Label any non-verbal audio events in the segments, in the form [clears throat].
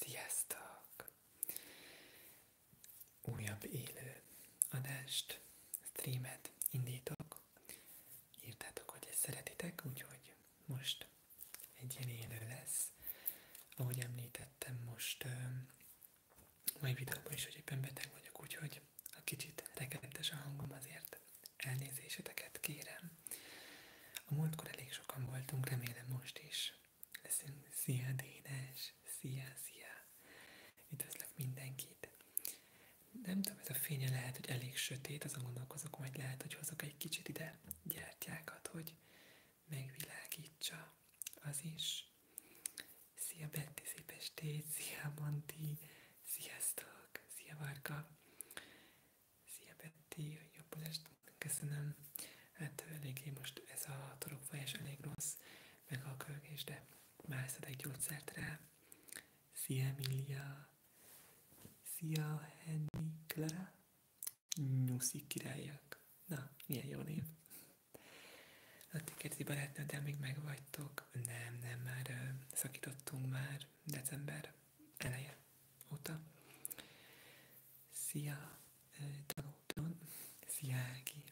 Sziasztok! Újabb élő adást, streamet indítok. Írtátok, hogy ezt szeretitek, úgyhogy most egy ilyen élő lesz. Ahogy említettem, most mai videóban is, hogy éppen beteg vagyok, úgyhogy a kicsit rekedtes a hangom azért Elnézéseteket kérem. A múltkor elég sokan voltunk, remélem most is. Leszünk. Szia, Dénes! Szia, szia! Üdvözlök mindenkit! Nem tudom, ez a fénye lehet, hogy elég sötét, azon gondolkozok, hogy lehet, hogy hozok egy kicsit ide gyertyákat, hogy megvilágítsa az is. Szia Betty, szép estét, szia Manti, Sziasztok! Szia Varga! Szia Betty! Jobb est! Köszönöm! Hát eléggé most ez a torokfájás elég rossz, meg a kölgés, de már szedek gyógyszert rá. Szia Emilia! Szia Henny Clara! Nyuszi királyok. Na, milyen jó név! Na, ti kérdi barátnőddel még megvagytok vagyok, nem, nem, már szakítottunk már december eleje óta. Szia, tanulton, szia Ági,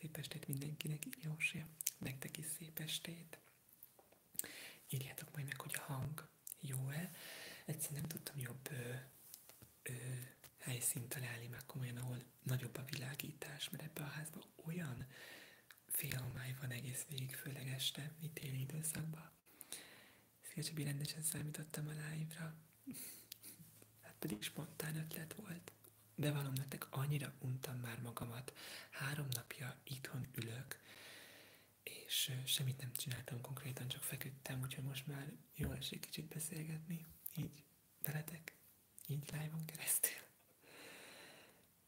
szép estét mindenkinek, Jósi, nektek is szép estét. Írjátok majd meg, hogy a hang jó-e. Egyszerűen nem tudtam jobb ö, ö, helyszínt találni, meg komolyan, ahol nagyobb a világítás, mert ebbe a házba olyan félhomály van egész végig, főleg este, itt téli időszakban. Szélcsebi rendesen számítottam a live-ra. Hát pedig spontán ötlet volt. Bevallom nektek, annyira untam már magamat. Három napja itthon ülök, és semmit nem csináltam konkrétan, csak feküdtem, úgyhogy most már jól esik kicsit beszélgetni, így veletek, így live-on keresztül.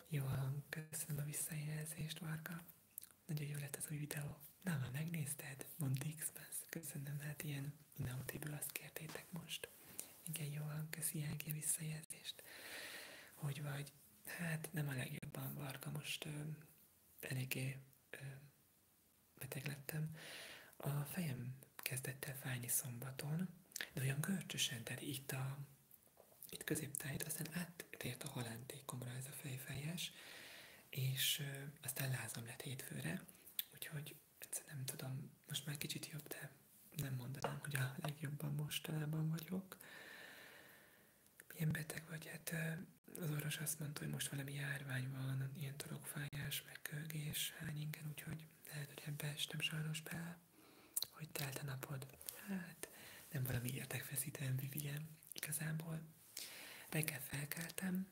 Jó hang, köszönöm a visszajelzést, Varga. Nagyon jó lett az új videó. Na, már megnézted? Mondd x -Bus. Köszönöm, hát ilyen Nautiből azt kértétek most. Igen, jó hang, köszi Ági a visszajelzést. Hogy vagy? Hát nem a legjobban, Varga, most ö, eléggé ö, beteg lettem. A fejem kezdett el fájni szombaton, de olyan görcsösen, tehát itt a itt középtájt, aztán áttért a halántékomra ez a fejfájás, és ö, aztán lázam lett hétfőre, úgyhogy egyszerűen nem tudom, most már kicsit jobb, de nem mondanám, hogy a legjobban mostanában vagyok. Milyen beteg vagy? Hát az orvos azt mondta, hogy most valami járvány van, ilyen torokfájás, meg kölgés, hányingen, úgyhogy lehet, hogy ebbe estem sajnos bele. Hogy telt a napod? Hát, nem valami érdekfeszítően, Vivien. Igazából reggel felkeltem,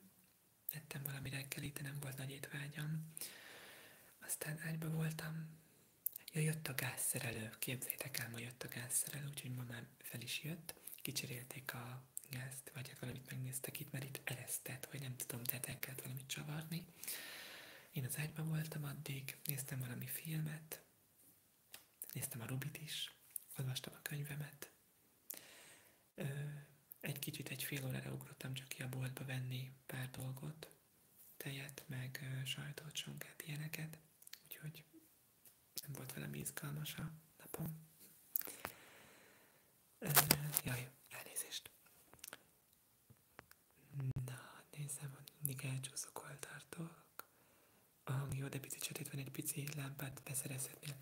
ettem valami reggelit, de nem volt nagy étvágyam. Aztán ágyba voltam. Ja, jött a gázszerelő. Képzeljétek el, ma jött a gázszerelő, úgyhogy ma már fel is jött. Kicserélték a gázt, vagy hát valamit megnéztek itt, mert itt eresztett, vagy nem tudom, tehát el kellett valamit csavarni. Én az ágyban voltam addig, néztem valami filmet, Néztem a Rubit is, olvastam a könyvemet. Egy kicsit, egy fél órára ugrottam csak ki a boltba venni pár dolgot, tejet, meg sajtot, sonkát, ilyeneket, úgyhogy nem volt velem izgalmas a napom. Jaj, elnézést. Na, nézem, hogy mindig elcsúszok, hol tartok. Ah, jó, de picit sötét van, egy pici lámpát beszerezhetnél.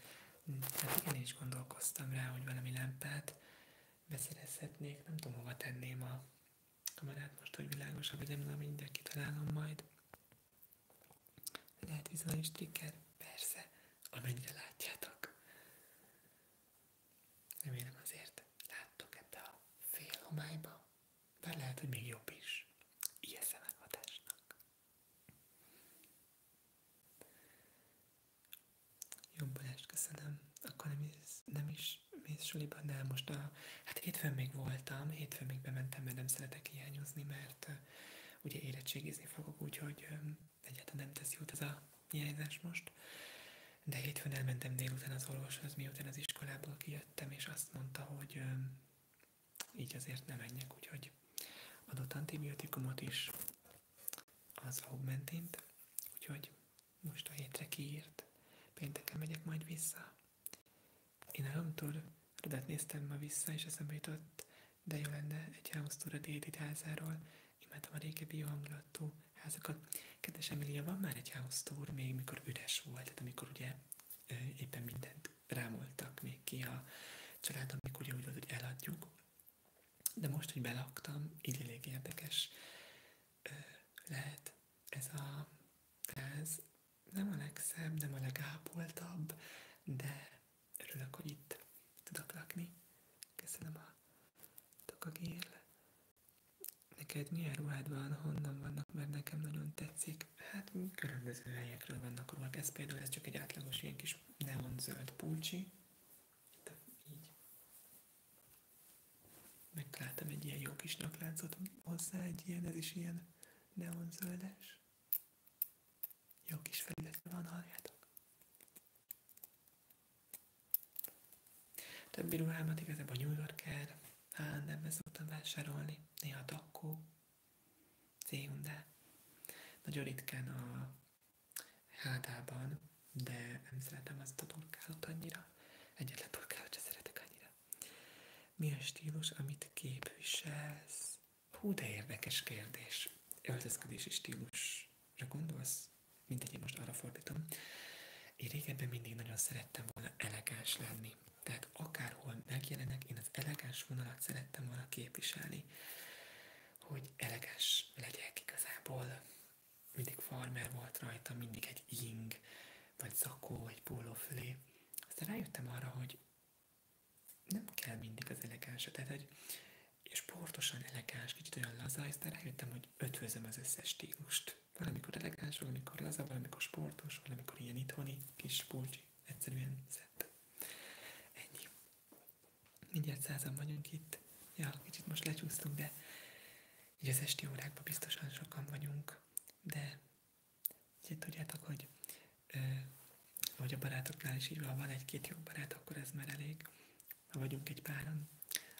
Hát igen, én is gondolkoztam rá, hogy valami lámpát beszerezhetnék. Nem tudom, hova tenném a kamerát most, hogy világosabb legyen, de mindjárt kitalálom majd. Lehet vizuális trigger? Persze, amennyire látjátok. Remélem azért láttok ebbe a fél de lehet, hogy még jobb is. Ilyen hatásnak. Jó Balázs, köszönöm. Akkor nem is, nem is mész suliba, de most a... Hát hétfőn még voltam, hétfőn még bementem, mert nem szeretek hiányozni, mert uh, ugye érettségizni fogok, úgyhogy um, egyáltalán nem tesz jót ez a hiányzás most. De hétfőn elmentem délután az orvoshoz, miután az iskolából kijött visszajöttem, és azt mondta, hogy ö, így azért nem menjek, úgyhogy adott antibiotikumot is, az augmentint, úgyhogy most a hétre kiírt, pénteken megyek majd vissza. Én a háromtól Rudát néztem ma vissza, és eszembe jutott, de jó lenne egy háromszor a déli házáról, imádtam a régebbi jó hangulatú házakat. Kedves Emilia, van már egy house tour, még mikor üres volt, tehát amikor ugye éppen mindent rámoltak még ki a családomig, ugye úgy volt, hogy eladjuk. De most, hogy belaktam, így elég érdekes lehet ez a ez Nem a legszebb, nem a legápoltabb, de örülök, hogy itt tudok lakni. Köszönöm a tokagél Neked milyen ruhád van, honnan vannak, mert nekem nagyon tetszik. Hát különböző helyekről vannak ruhák. Ez például ez csak egy átlagos ilyen kis neon zöld pulcsi. így. Megtaláltam egy ilyen jó kis lakláncot hozzá, egy ilyen, ez is ilyen neon zöldes. Jó kis felülete van, halljátok. Többi ruhámat igazából New Yorker, nem ez szoktam vásárolni, néha Dakkó, c Nagyon ritkán a hátában, de nem szeretem azt a turkálót annyira. Egyetlen turkálót sem szeretek annyira. Mi a stílus, amit képviselsz? Hú, de érdekes kérdés. Öltözködési stílusra gondolsz? Mindegy, én most arra fordítom. Én régebben mindig nagyon szerettem volna elegáns lenni tehát akárhol megjelenek, én az elegáns vonalat szerettem volna képviselni, hogy elegáns legyek igazából. Mindig farmer volt rajta, mindig egy ing, vagy zakó, egy pólófülé. Aztán rájöttem arra, hogy nem kell mindig az elegáns, tehát egy és sportosan elegáns, kicsit olyan laza, aztán rájöttem, hogy ötvözöm az összes stílust. Valamikor elegáns, valamikor laza, valamikor sportos, valamikor ilyen itthoni kis pulcsi. Egyszerűen szett. Ennyi. Mindjárt százan vagyunk itt. Ja, kicsit most lecsúsztunk, de így az esti órákban biztosan sokan vagyunk. De így tudjátok, hogy ö, ahogy a barátoknál is így van, van egy-két jó barát, akkor ez már elég. Ha vagyunk egy páran,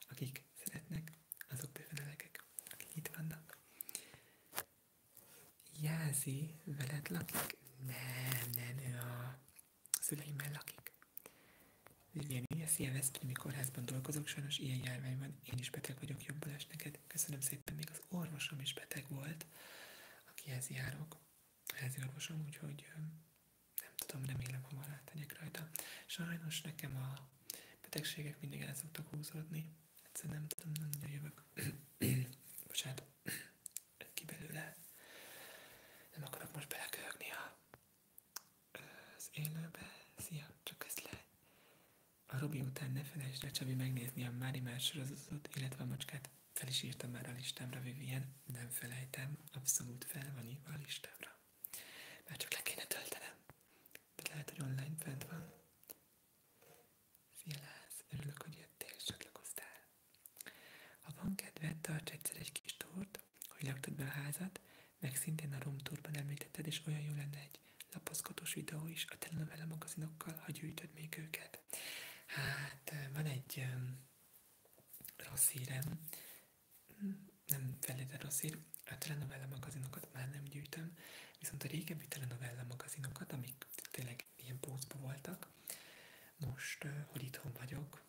akik szeretnek, azok bőven elegek, akik itt vannak. Jázi veled lakik? Nem, nem, ő a szüleimmel lakik. Viviani, szia Veszprémi kórházban dolgozok, sajnos ilyen járvány van, én is beteg vagyok, jobbulás neked. Köszönöm szépen, még az orvosom is beteg volt, aki akihez járok. Házi orvosom, úgyhogy nem tudom, remélem hamar átmegyek rajta. Sajnos nekem a betegségek mindig el szoktak húzódni egyszer nem tudom, nem nagyon jövök. [clears throat] Bocsánat, [clears throat] ki belőle. Nem akarok most belekölögni az élőbe. Szia, csak ezt le. A Robi után ne felejtsd el Csabi megnézni a Mári Már sorozatot, illetve a macskát. Fel is írtam már a listámra, Vivien. Nem felejtem, abszolút fel van írva a listámra. Már csak le kéne töltenem. De lehet, hogy online fent van. Szilász, örülök, hogy jöttél, és csatlakoztál. Ha van kedved, tarts kis túrt, hogy laktad a házat, meg szintén a Room Tourban említetted, és olyan jó lenne egy lapozgatós videó is a telenovela magazinokkal, ha gyűjtöd még őket. Hát, van egy um, rossz hírem, nem felére rossz hír, a telenovella magazinokat már nem gyűjtöm, viszont a régebbi telenovella magazinokat, amik tényleg ilyen pózba voltak, most, hogy itthon vagyok,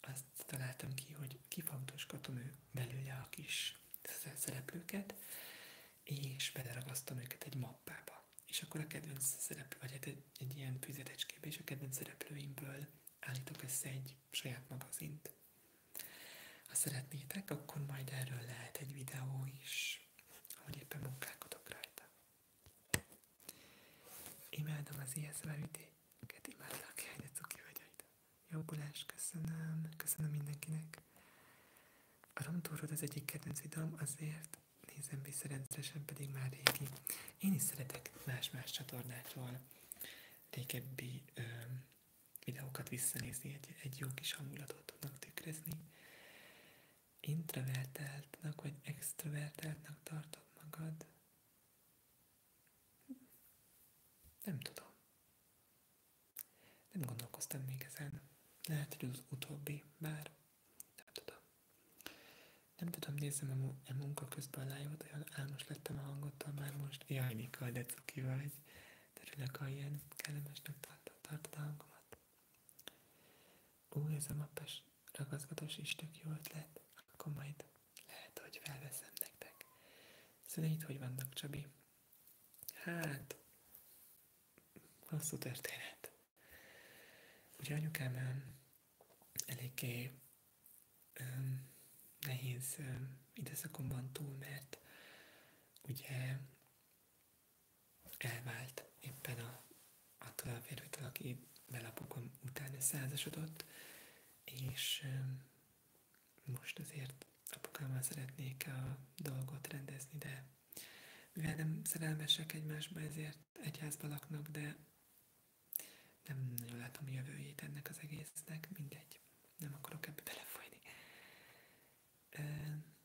azt találtam ki, hogy kifagdosgatom ő belőle a kis szereplőket, és beleragasztom őket egy mappába. És akkor a kedvenc szereplő, vagy hát egy, egy ilyen füzetecskébe, és a kedvenc szereplőimből állítok össze egy saját magazint. Ha szeretnétek, akkor majd erről lehet egy videó is, ahogy éppen munkálkodok rajta. Imádom az ISZV ütéket, imádlak, hogy a cuki Jó Jobbulás, köszönöm, köszönöm mindenkinek. A romtúrod az egyik kedvenc videóm, azért nézem vissza rendszeresen, pedig már régi. Én is szeretek más-más csatornákról régebbi ö, videókat visszanézni, egy, egy jó kis hangulatot tudnak tükrözni. Introvertáltnak vagy extrovertáltnak tartod magad? Nem tudom. Nem gondolkoztam még ezen. Lehet, hogy az utóbbi, bár nem tudom. Nem tudom, nézem a, mu- a munka közben a live olyan álmos lettem a hangottól már most. Jaj, Mika, de cuki vagy. Örülök, ha ilyen kellemesnek tartod a hangomat. Ú, ez a mappes ragaszgatós is tök jó ötlet. Akkor majd lehet, hogy felveszem nektek. Szüleid szóval hogy vannak, Csabi? Hát, hosszú történet. Ugye anyukám eléggé um, nehéz um, időszakomban túl, mert ugye elvált éppen a, attól a férfitől, aki belapokon utána százasodott, és most azért apukámmal szeretnék a dolgot rendezni, de mivel nem szerelmesek egymásba, ezért egy laknak, de nem nagyon látom jövőjét ennek az egésznek, mindegy, nem akarok ebbe belefolyni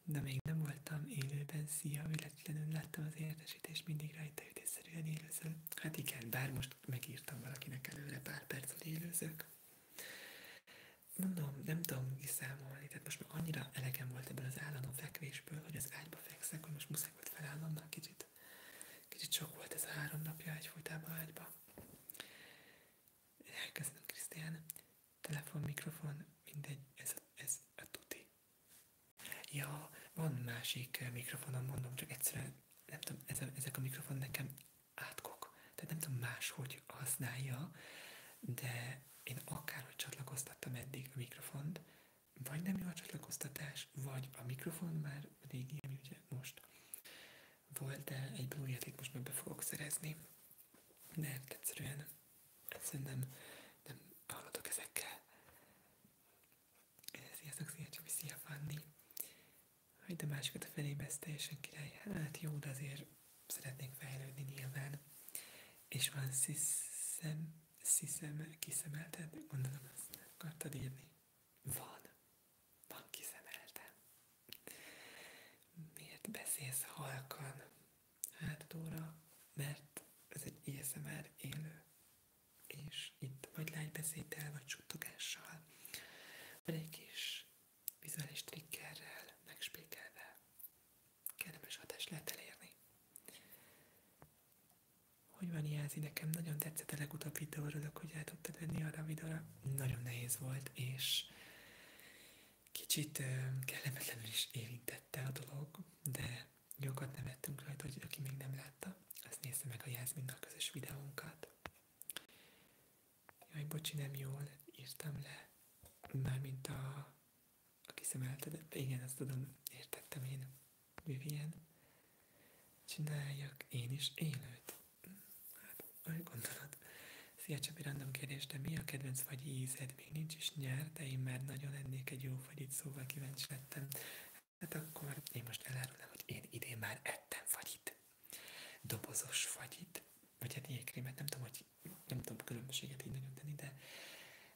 de még nem voltam élőben, szia, véletlenül láttam az értesítést, mindig rajta ütésszerűen élőzöl. Hát igen, bár most megírtam valakinek előre pár percet élőzök. Mondom, nem tudom kiszámolni, tehát most már annyira elegem volt ebből az állandó fekvésből, hogy az ágyba fekszek, hogy most muszáj volt felállnom már kicsit. Kicsit sok volt ez a három napja egy egyfolytában ágyba. Köszönöm, Krisztián telefon, mikrofon, mindegy, ez, ez a tuti. Ja, van másik eh, mikrofonom, mondom, csak egyszerűen, nem tudom, ez a, ezek a mikrofon nekem átkok, tehát nem tudom máshogy használja, de én akárhogy csatlakoztattam eddig a mikrofont, vagy nem jó a csatlakoztatás, vagy a mikrofon már régi, ami ugye most volt, de egy blúját itt most már be fogok szerezni. De hát egyszerűen szerintem nem haladok ezekkel. Sziasztok, szia Csabi, szia Fanni! Hagyd a másikat a felébe, ez teljesen király. Hát jó, de azért szeretnék fejlődni nyilván. És van sziszem, sziszem, kiszemelted? Gondolom, ezt akartad írni. Van. Van kiszemeltem. Miért beszélsz halkan? Hát óra, mert ez egy ASMR er élő, és itt vagy lágybeszéddel, vagy suttogással, vagy egy kis vizuális triggerrel, megspékelve Kedves, hatást lehet elérni. Hogy van Jázi? Nekem nagyon tetszett a legutóbb videó, örülök, hogy el tudtad venni arra a videóra. Nagyon nehéz volt, és Kicsit kellemetlenül is érintette a dolog, de jókat nevettünk rajta, hogy aki még nem látta, azt nézze meg a Jászminnal közös videónkat. Jaj, bocsi, nem jól írtam le. már mint a, a kiszemeltet, igen, azt tudom, értettem én. Vivien, csináljak én is élőt. Hm, hát, gondolat. Szia Csabi, random kérdés, de mi a kedvenc vagy ízed? Még nincs is nyár, de én már nagyon ennék egy jó fagyit, szóval kíváncsi lettem. Hát akkor én most elárulom, hogy én idén már ettem fagyit. Dobozos fagyit. Vagy hát jégkrémet, nem tudom, hogy nem tudom különbséget így nagyon de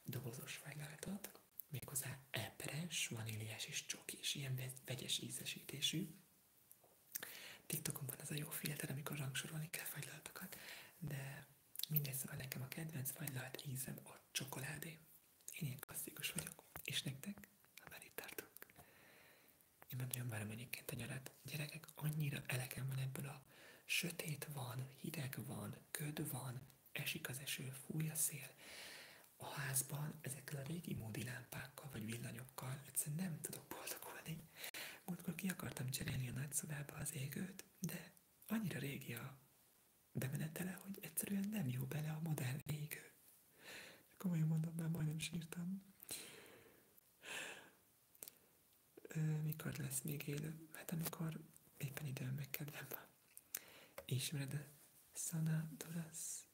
dobozos fagylalatot. Méghozzá eperes, vaníliás és csokis, ilyen vegyes ízesítésű. TikTokon van az a jó filter, amikor rangsorolni kell fagylaltakat, de mindegy, szóval nekem a kedvenc fagylalt ízem a csokoládé. Én ilyen klasszikus vagyok. És nektek? Ha már itt tartunk. Én nem nagyon várom egyébként a nyarat. Gyerekek, annyira elegem van ebből a sötét van, hideg van, köd van, esik az eső, fúj a szél. A házban ezekkel a régi módi lámpákkal vagy villanyokkal egyszerűen nem tudok boldogulni. Múltkor ki akartam cserélni a nagyszobába az égőt, de annyira régi a bemenetele, hogy egyszerűen nem jó bele a modern égő. Komolyan mondom, már majdnem sírtam. Ö, mikor lesz még élő? Hát amikor éppen időm meg kedvem van. Ismered a Sana Doras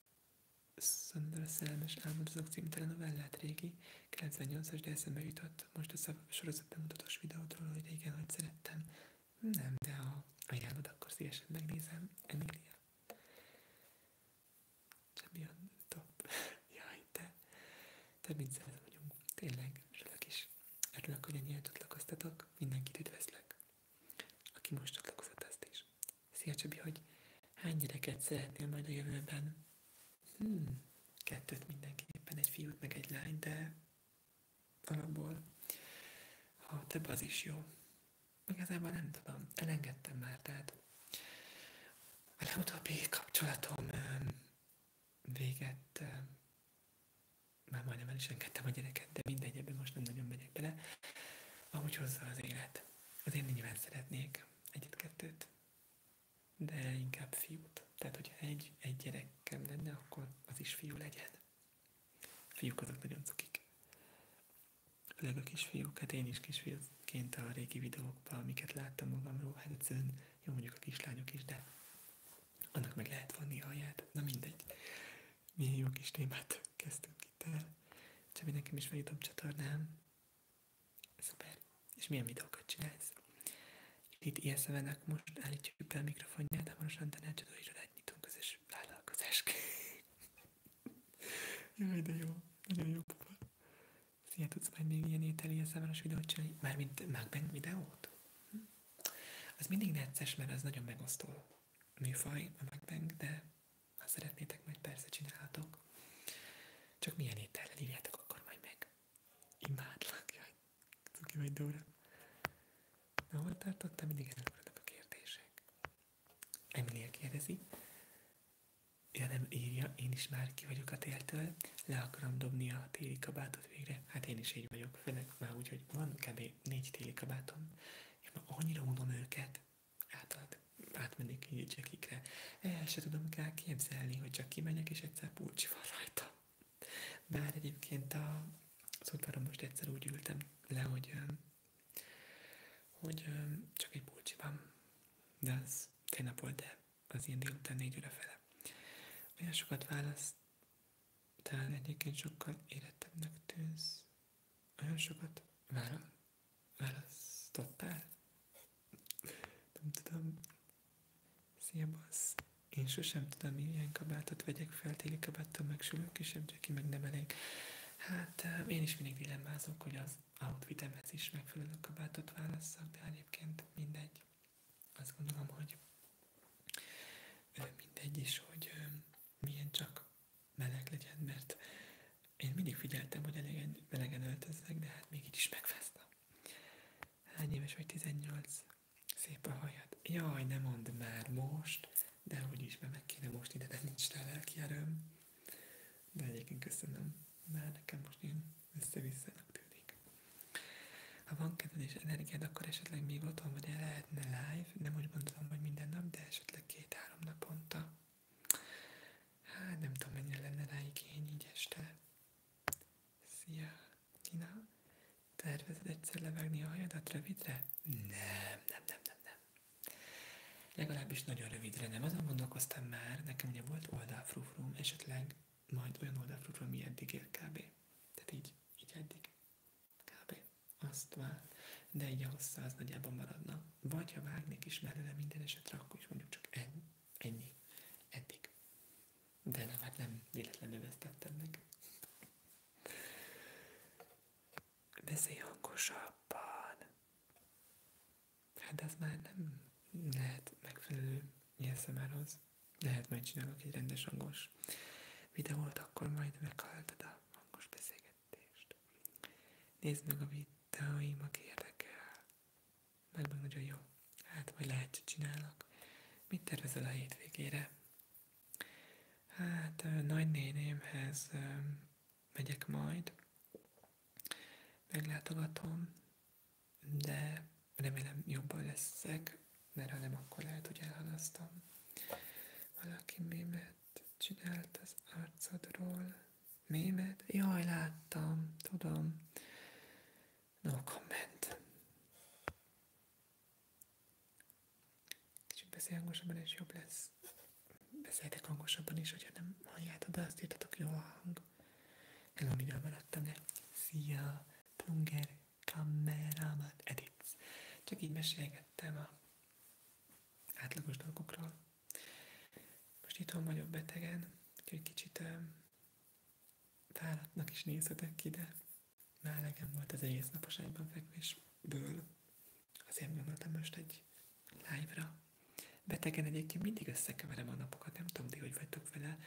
Szöndör a Szellemes Álmodozók című telenovellát régi 98-as, de eszembe jutott most ez a sorozat bemutatós videótól, hogy igen, hogy szerettem. Nem, de ha ajánlod, akkor szívesen megnézem. Emilia. Champion top. [laughs] Jaj, te. Te mit vagyunk. Tényleg, örülök is. Örülök, hogy ennyire csatlakoztatok. Mindenkit üdvözlök. Aki most csatlakozott, azt is. Szia Csabi, hogy hány gyereket szeretnél majd a jövőben? hmm, kettőt mindenképpen, egy fiút meg egy lány, de alapból ha több az is jó. Igazából nem tudom, elengedtem már, tehát a legutóbbi kapcsolatom véget, már majdnem el is engedtem a gyereket, de mindegy, ebben most nem nagyon megyek bele. Amúgy hozza az élet. Azért nyilván szeretnék egyet-kettőt, de inkább fiút. Tehát, hogyha egy, egy gyerekem lenne, akkor az is fiú legyen. A fiúk azok nagyon cukik. Főleg a kisfiúk, hát én is kisfiúként a régi videókban, amiket láttam magamról, hát egyszerűen jó mondjuk a kislányok is, de annak meg lehet a alját. Na mindegy. Milyen jó kis témát kezdtünk itt el. Csak Csabi, nekem is van YouTube csatornám, Szuper. És milyen videókat csinálsz? Itt ISZV-nek most állítjuk be a mikrofonját, hamarosan tanácsadó irodát nyitunk is vállalkozásként. [laughs] Jaj, de jó. Nagyon jó papa. Szia, tudsz majd még ilyen ételi ISZV-es videót csinálni? Mármint Macbank videót? Hm? Az mindig necces, mert az nagyon megosztó műfaj, a Macbank, de ha szeretnétek, majd persze csinálhatok. Csak milyen étellel írjátok akkor majd meg. Imádlak, jaj, cuki vagy Dóra. Na, hol tartottam? Mindig előmaradnak a kérdések. Emilia kérdezi. Ja, nem írja, én is már ki vagyok a téltől, le akarom dobni a téli kabátot végre. Hát én is így vagyok, főleg már úgy, hogy van kb. négy téli kabátom, és ma annyira unom őket, átad, átmennék így jackikre, el se tudom kell képzelni, hogy csak kimenjek, és egyszer pulcsi van rajta. Bár egyébként a, az most egyszer úgy ültem le, hogy, hogy csak egy pulcsi van. De az tegnap volt, de az ilyen délután négy óra fele. Olyan sokat választ, talán egyébként sokkal érettebbnek tűnsz. Olyan sokat választottál? Nem tudom. Szia, bassz. Én sosem tudom, milyen kabátot vegyek fel, téli kabáttal megsülök, kisebb Jackie meg nem elég. Hát én is mindig dilemmázok, hogy az outfitemhez is megfelelő kabátot válasszak, de egyébként mindegy. Azt gondolom, hogy mindegy is, hogy milyen csak meleg legyen, mert én mindig figyeltem, hogy elegen, melegen öltözzek, de hát még így is megfáztam. Hány éves vagy 18? Szép a hajad. Jaj, nem mondd már most, de hogy is, mert meg kéne most ide, de nincs rá lelki erőm. De egyébként köszönöm, már nekem most ilyen össze-visszanak tűnik. Ha van kedved és energiád, akkor esetleg még otthon vagy el lehetne live, de úgy gondolom, hogy minden nap, de esetleg két-három naponta. Hát nem tudom, mennyire lenne rá igény így este. Szia! Nina, tervezed egyszer levágni a hajadat rövidre? Nem, nem, nem, nem, nem. Legalábbis nagyon rövidre nem. Azon gondolkoztam már, nekem ugye volt oldalfrufrum, esetleg majd olyan oldalfrufrum, mi eddig ér kb. Tehát így, így eddig. Kb. Azt vár. De így a hossza az nagyjából maradna. Vagy ha vágnék is belőle minden esetre, akkor is mondjuk csak egy Ennyi. Eddig. De nem, hát nem véletlenül vesztettem meg. Beszélj hangosabban. Hát ez már nem lehet megfelelő nyilszemárhoz. Lehet majd csinálok egy rendes hangos videót, akkor majd meghalltad a hangos beszélgetést. Nézd meg a videóim, aki meg meg nagyon jó. Hát, vagy lehet, hogy csinálnak. Mit tervezel a hétvégére? Hát, nagynénémhez megyek majd, meglátogatom, de remélem jobban leszek, mert ha nem, akkor lehet, hogy elhalasztom. Valaki mémet csinált az arcodról. Mémet? Jaj, láttam, tudom. No comment. Kicsit beszélj hangosabban, és jobb lesz. Beszéltek hangosabban is, hogyha nem halljátok be, azt írtatok jó hang. Hello, miről maradtam le? Szia, plunger, kamerámat, edits. Csak így mesélgettem a átlagos dolgokról. Most itt itthon vagyok betegen, úgyhogy kicsit fáradtnak is nézhetek ki, de melegem volt az egész napos ágyban fekvésből. Azért gondoltam most egy live-ra. Betegen egyébként mindig összekeverem a napokat, nem tudom, hogy vagytok vele.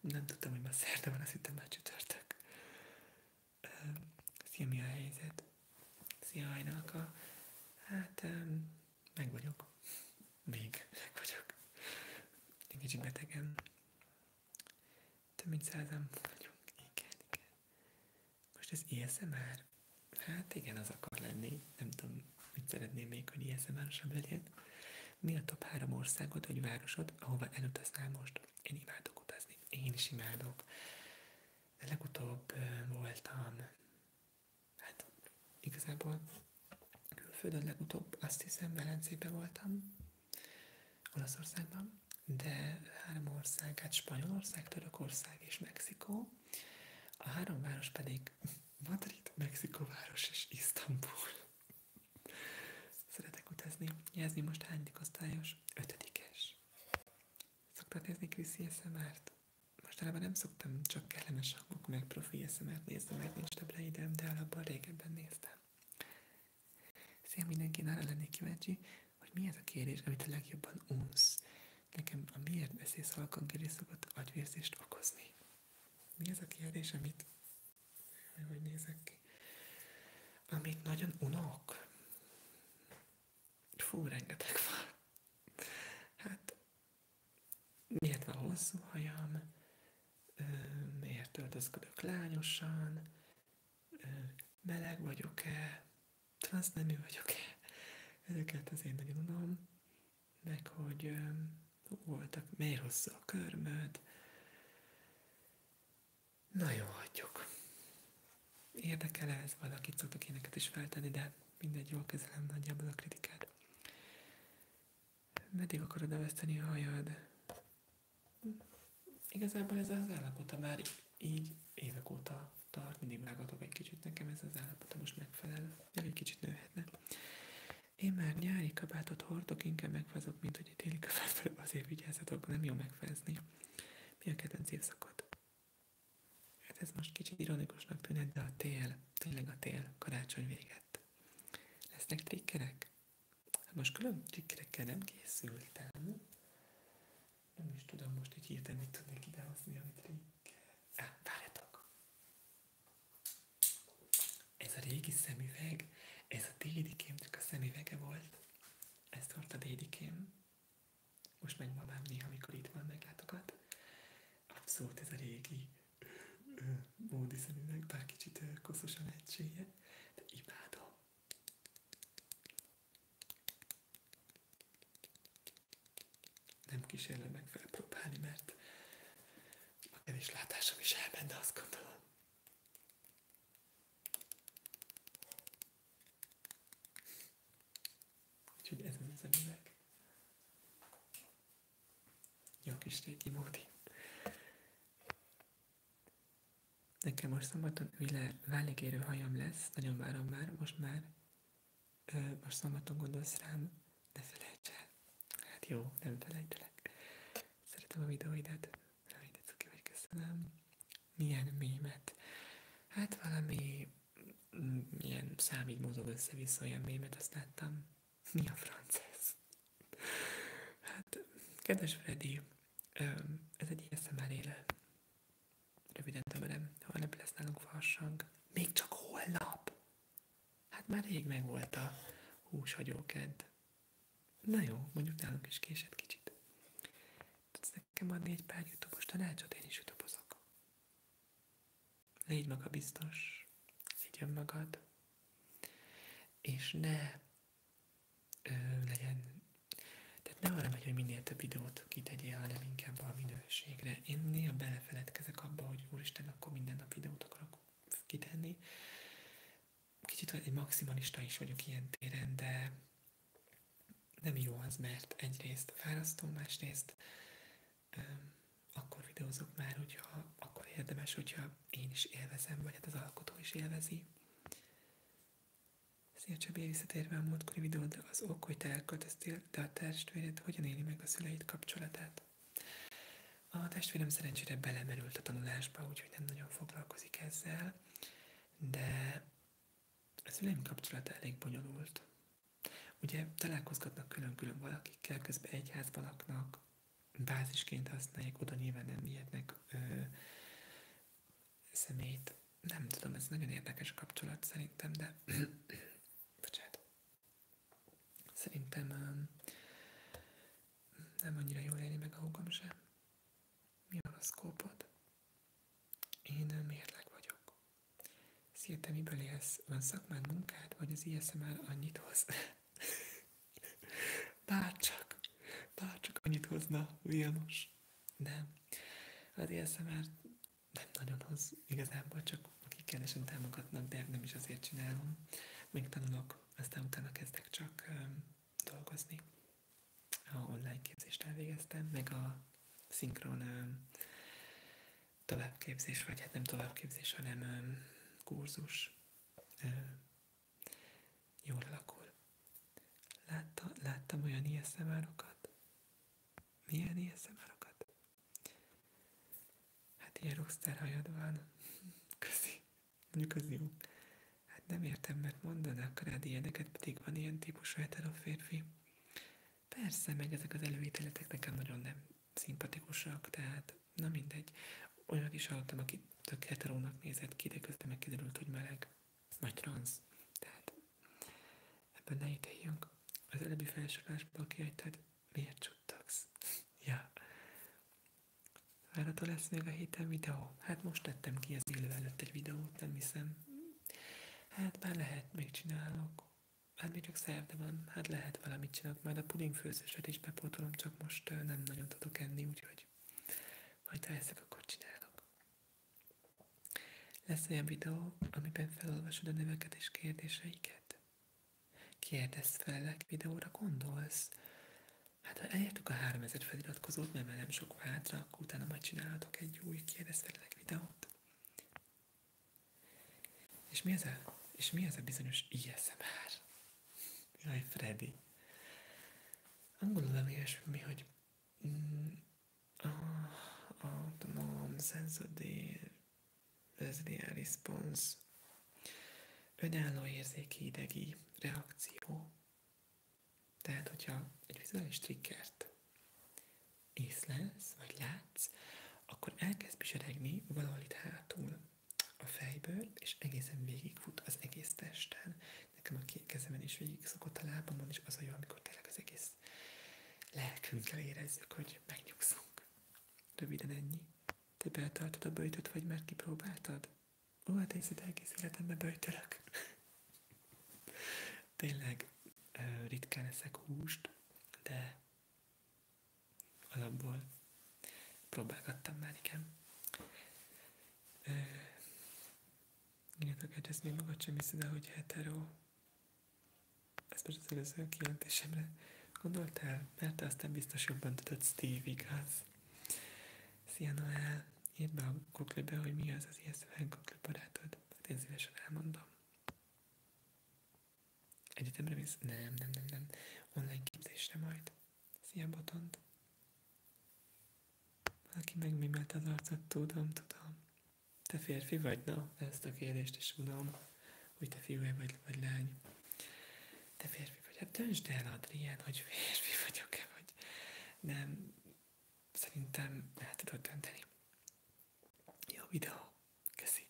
Nem tudtam, hogy ma szerda van, azt hittem már csütörtök. Szia, mi a helyzet? Szia, hajnalka. Hát, meg vagyok még meg vagyok. Egy kicsit betegem. Több mint százan vagyunk. Igen, igen. Most ez ISMR. Er? Hát igen, az akar lenni. Nem tudom, mit szeretném még, hogy ASMR-osabb legyen. Mi a top három országot vagy városod, ahova elutaznál most? Én imádok utazni. Én is imádok. De legutóbb voltam, hát igazából Külföldön legutóbb azt hiszem Velencében voltam, Olaszországban, de három ország, hát Spanyolország, Törökország és Mexikó, a három város pedig Madrid, Mexikóváros és Isztambul. Szeretek utazni. Jelzni most hányadik osztályos? Ötödikes. Szoktad nézni Kriszi SMR-t? Mostanában nem szoktam, csak kellemes akkor meg profi eszemert néztem, mert nincs több ideem, de alapban régebben néztem. Szia mindenki, arra lennék kíváncsi, hogy mi ez a kérés, amit a legjobban unsz. Nekem a miért beszélsz halkankérés szokott agyvérzést okozni. Mi ez a kérdés, amit hogy nézek ki? Amit nagyon unok. Fú, rengeteg van. Hát, miért van hosszú hajam, miért öltözködök lányosan, meleg vagyok-e, transznemű vagyok-e. Ezeket az én nagyon unom, meg hogy voltak, mely hosszú a körmöd. Na jó, hagyjuk. Érdekel ez, valakit szoktak éneket is feltenni, de mindegy, jól kezelem nagyjából a kritikát. Meddig akarod elveszteni a hajad? Igazából ez az állapota már így évek óta tart, mindig vágatok egy kicsit, nekem ez az állapota most megfelel, még egy kicsit nőhetne. Én már nyári kabátot hordok, inkább megfázok, mint hogy egy téli kabátba azért vigyázzatok, nem jó megfázni. Mi a kedvenc évszakod? Hát ez most kicsit ironikusnak tűnhet, de a tél, tényleg a tél, karácsony véget. Lesznek trikkerek? Hát most külön trikkerekkel nem készültem. Nem is tudom most így hirtelen, mit tudnék idehozni, amit trikk. Á, ah, várjatok! Ez a régi szemüveg, ez a dédikém, csak a szemüvege volt. Ezt hord a dédikém. Most meg mamám néha, amikor itt van, meglátogat. Abszolút ez a régi módi szemüveg, bár kicsit koszos a lehetsége, de imádom. Nem kísérlek meg próbálni, mert a kevés látásom is elment, de azt gondolom. Úgyhogy ez az a jó kis régi módi. Nekem most szombaton üle vállégérő hajam lesz, nagyon várom már, most már. Ö, most szombaton gondolsz rám, ne felejts el. Hát jó, nem felejtelek. Szeretem a videóidat. Nagyon tetszik, hogy köszönöm. Milyen mémet? Hát valami mm, ilyen számig mozog össze-vissza olyan mémet, azt láttam. Mi a franc ez? Hát, kedves Freddy, ez egy ASMR éle. Röviden Ha holnap lesz nálunk farsang. Még csak holnap? Hát már rég meg volt a húshagyóként. Na jó, mondjuk nálunk is késett kicsit. Tudsz nekem adni egy pár youtube tanácsot? Én is youtube Légy maga biztos, szidjön magad, és ne ö, legyen, tehát ne arra megy, hogy minél több videót kitegyél, hanem inkább a minőségre. Én néha belefeledkezek abba, hogy úristen, akkor minden nap videót akarok kitenni. Kicsit egy maximalista is vagyok ilyen téren, de nem jó az, mert egyrészt fárasztó, másrészt akkor videózok már, hogyha akkor érdemes, hogyha én is élvezem, vagy hát az alkotó is élvezi. Szia Csabi, visszatérve a múltkori videódra, az ok, hogy te elköltöztél, de a testvéred hogyan éli meg a szüleid kapcsolatát? A testvérem szerencsére belemerült a tanulásba, úgyhogy nem nagyon foglalkozik ezzel, de a szüleim kapcsolata elég bonyolult. Ugye találkozgatnak külön-külön valakikkel, közben egy házban laknak, bázisként használják, oda nyilván nem vihetnek szemét Nem tudom, ez nagyon érdekes kapcsolat szerintem, de [clears throat] bocsánat. Szerintem um, nem annyira jól élni meg a húgom sem. Mi a horoszkópod? Én mérleg vagyok. Szia, te miből élsz? Van szakmád, munkád, vagy az ISMR er annyit hoz? [laughs] Bárcsak, bárcsak annyit hozna Vilmos. Nem. Az ASMR nem nagyon hoz igazából, csak akik kedvesen támogatnak, de nem is azért csinálom. Még tanulok, aztán utána kezdek csak um, dolgozni. A online képzést elvégeztem, meg a szinkron um, továbbképzés, vagy hát nem továbbképzés, hanem um, kurzus, jól alakul. Látta, láttam olyan ASMR-okat? Milyen ASMR-okat? Hát ilyen rockstar hajad van. [laughs] Köszi. Mondjuk az jó. Hát nem értem, mert mondanak rád ilyeneket, pedig van ilyen típusú hetero férfi. Persze, meg ezek az előítéletek nekem nagyon nem szimpatikusak, tehát na mindegy. Olyan is hallottam, aki tök heterónak nézett ki, de közben megkiderült, hogy meleg, vagy transz. Tehát ebben ne ítéljünk. Az előbbi felsorolásból kihagytad, miért csuttagsz? [laughs] ja. Várható lesz még a héten videó? Hát most tettem ki az élő előtt egy videót, nem hiszem. Hát már lehet, még csinálok. Hát még csak szerda van, hát lehet valamit csinálok, majd a puding főzős is bepótolom, csak most nem nagyon tudok enni, úgyhogy majd ha eszek, akkor csinálok. Lesz olyan videó, amiben felolvasod a és kérdéseiket. Kérdezz felelek videóra, gondolsz? Hát ha elértük a 3000 feliratkozót, mert már nem sok hátra, akkor utána majd csinálhatok egy új kérdezz felelek videót. És mi ez a, és mi ez a bizonyos ISMR? Jaj, Freddy. Angolul valami ilyesmi, hogy mm, oh, oh, the mom sense of the, the real response. Önálló érzéki idegi reakció. Tehát, hogyha egy vizuális triggert észlelsz, vagy látsz, akkor elkezd piseregni valahol itt hátul a fejből, és egészen fut az egész testen. Nekem a két kezemen is végig szokott a lábamon, és az olyan, amikor tényleg az egész lelkünkkel érezzük, hogy megnyugszunk. Röviden ennyi. Te betartod a böjtöt, vagy már kipróbáltad? Ó, hát én szinte egész életemben böjtölök. [laughs] tényleg ritkán eszek húst, de alapból. Próbálgattam már, igen. Írjátok e, egyet még magad sem hiszed, hogy hetero. Ez most az előző kijelentésemre gondoltál, mert te aztán biztos jobban tudod, Steve, igaz? Szia Noel, írd be a google hogy mi az az ISFN Google barátod. Hát én szívesen elmondom. Egyetemre visz Nem, nem, nem, nem. Online képzésre majd. Szia, botond! Valaki megmimelt az arcot, tudom, tudom. Te férfi vagy, na? Ezt a kérdést is tudom, hogy te fiú vagy, vagy lány. Te férfi vagy, hát döntsd el, Adrien, hogy férfi vagyok-e, vagy nem. Szerintem el tudod dönteni. Jó videó. Köszi.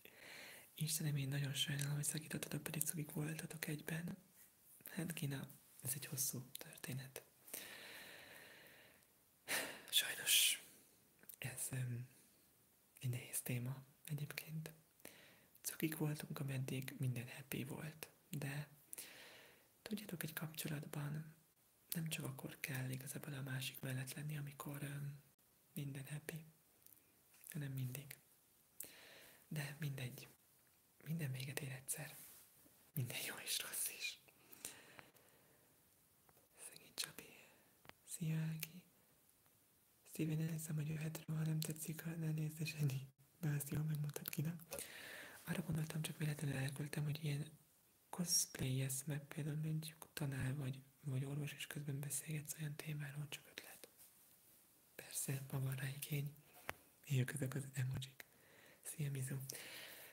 Istenem, én nagyon sajnálom, hogy szakítottatok, pedig szugik voltatok egyben. Hát Kína, ez egy hosszú történet. Sajnos ez um, egy nehéz téma egyébként. Cukik voltunk, ameddig minden happy volt, de tudjátok, egy kapcsolatban nem csak akkor kell igazából a másik mellett lenni, amikor um, minden happy, hanem mindig. De mindegy. Minden véget ér egyszer. Minden jó és rossz is. Szegény Csabi. Szia, Ági. Steven, elhiszem, hogy jöhetről, ha nem tetszik, ha ne nézd és De azt jól megmutat Kina. Arra gondoltam, csak véletlenül elköltem, hogy ilyen cosplay -esz, mert például egy tanár vagy, vagy orvos, és közben beszélgetsz olyan témáról, csak ötlet. Persze, ma van rá igény. Éljük ezek az emojik. Szia, Mizu.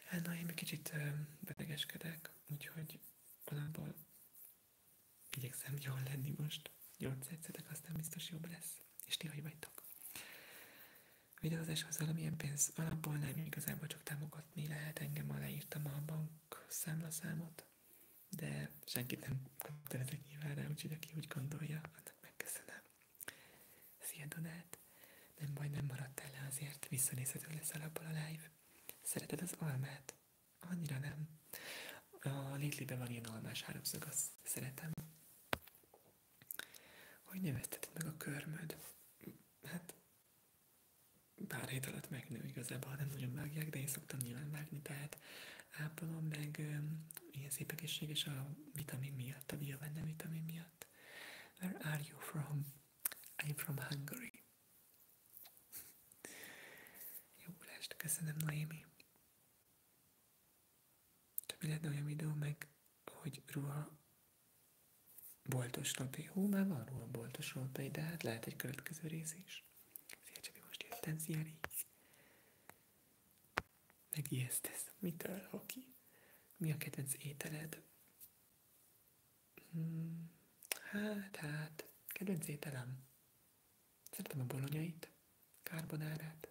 Hát na, én egy kicsit betegeskedek, úgyhogy valamból igyekszem jól lenni most. Gyors Gyógyszerzetek, aztán biztos jobb lesz. És ti hogy vagytok? az valamilyen pénz alapból nem igazából csak támogatni lehet. Engem ma írtam a bank számlaszámot, de senki nem kötelezek nyilván rá, úgyhogy aki úgy gondolja, annak megköszönöm. Szia Donát! Nem baj, nem maradtál le azért, visszanézhető lesz alapból a live. Szereted az almát? Annyira nem. A Lidlibe van ilyen almás háromszög, azt szeretem. Hogy nevezteted meg a körmöd? Hát, pár hét alatt megnő igazából, nem nagyon vágják, de én szoktam nyilván vágni, tehát ápolom, meg ilyen szép és a vitamin miatt, a bio vitamin miatt. Where are you from? I'm from Hungary. Jó lest, köszönöm Noémi. Csak mi lenne olyan videó meg, hogy ruha boltos lapé. Hú, már van ruha boltos lapé, de hát lehet egy következő rész is. Szia Csabi, most jöttem, szia Megijesztesz. Mitől, Hoki? Mi a kedvenc ételed? Hmm, hát, hát, kedvenc ételem. Szeretem a bolonyait, karbonárát.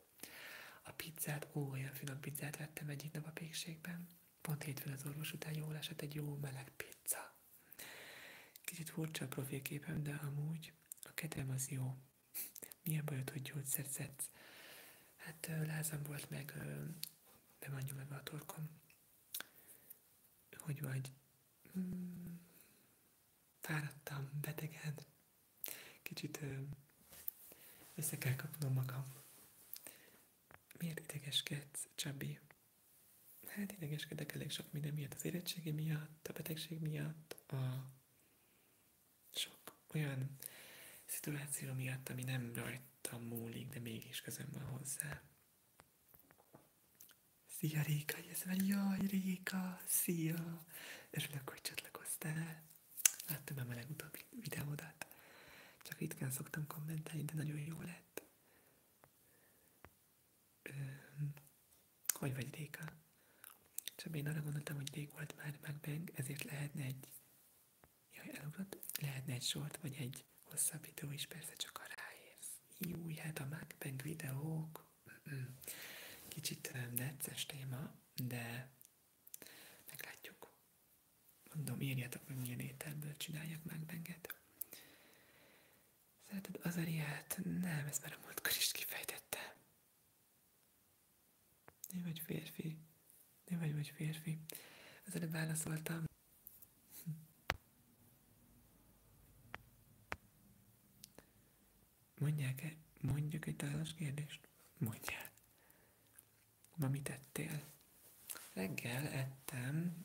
A pizzát, ó, olyan finom pizzát vettem egyik nap a pékségben. Pont hétfőn az orvos után jól esett egy jó meleg pizza. Kicsit furcsa a profilképem, de amúgy a kedvem az jó milyen bajod, hogy gyógyszert szedsz? Hát lázam volt meg, be van nyomva a torkom. Hogy vagy? Hmm, fáradtam, betegen. Kicsit össze kell kapnom magam. Miért idegeskedsz, Csabi? Hát idegeskedek elég sok minden miatt, az érettségi miatt, a betegség miatt, a sok olyan szituáció miatt, ami nem rajtam múlik, de mégis közöm van hozzá. Szia Réka, ez van, jaj Réka, szia! Örülök, hogy csatlakoztál. Láttam már a legutóbbi videódat. Csak ritkán szoktam kommentálni, de nagyon jó lett. Hogy vagy Réka? És én arra gondoltam, hogy rég volt már megbeng, ezért lehetne egy... Jaj, elugrott. Lehetne egy sort, vagy egy hosszabb videó is, persze csak a ráérsz. Jó, hát a megbeng videók... Kicsit necces téma, de meglátjuk. Mondom, írjátok meg, milyen ételből csináljak megbenget. Szereted az ariát? Nem, ezt már a múltkor is kifejtette. Nem vagy férfi. Nem vagy vagy férfi. Ezzel nem válaszoltam. Hm. Mondják-e, mondjuk egy tálas kérdést? Mondjál. Ma mit ettél? Reggel ettem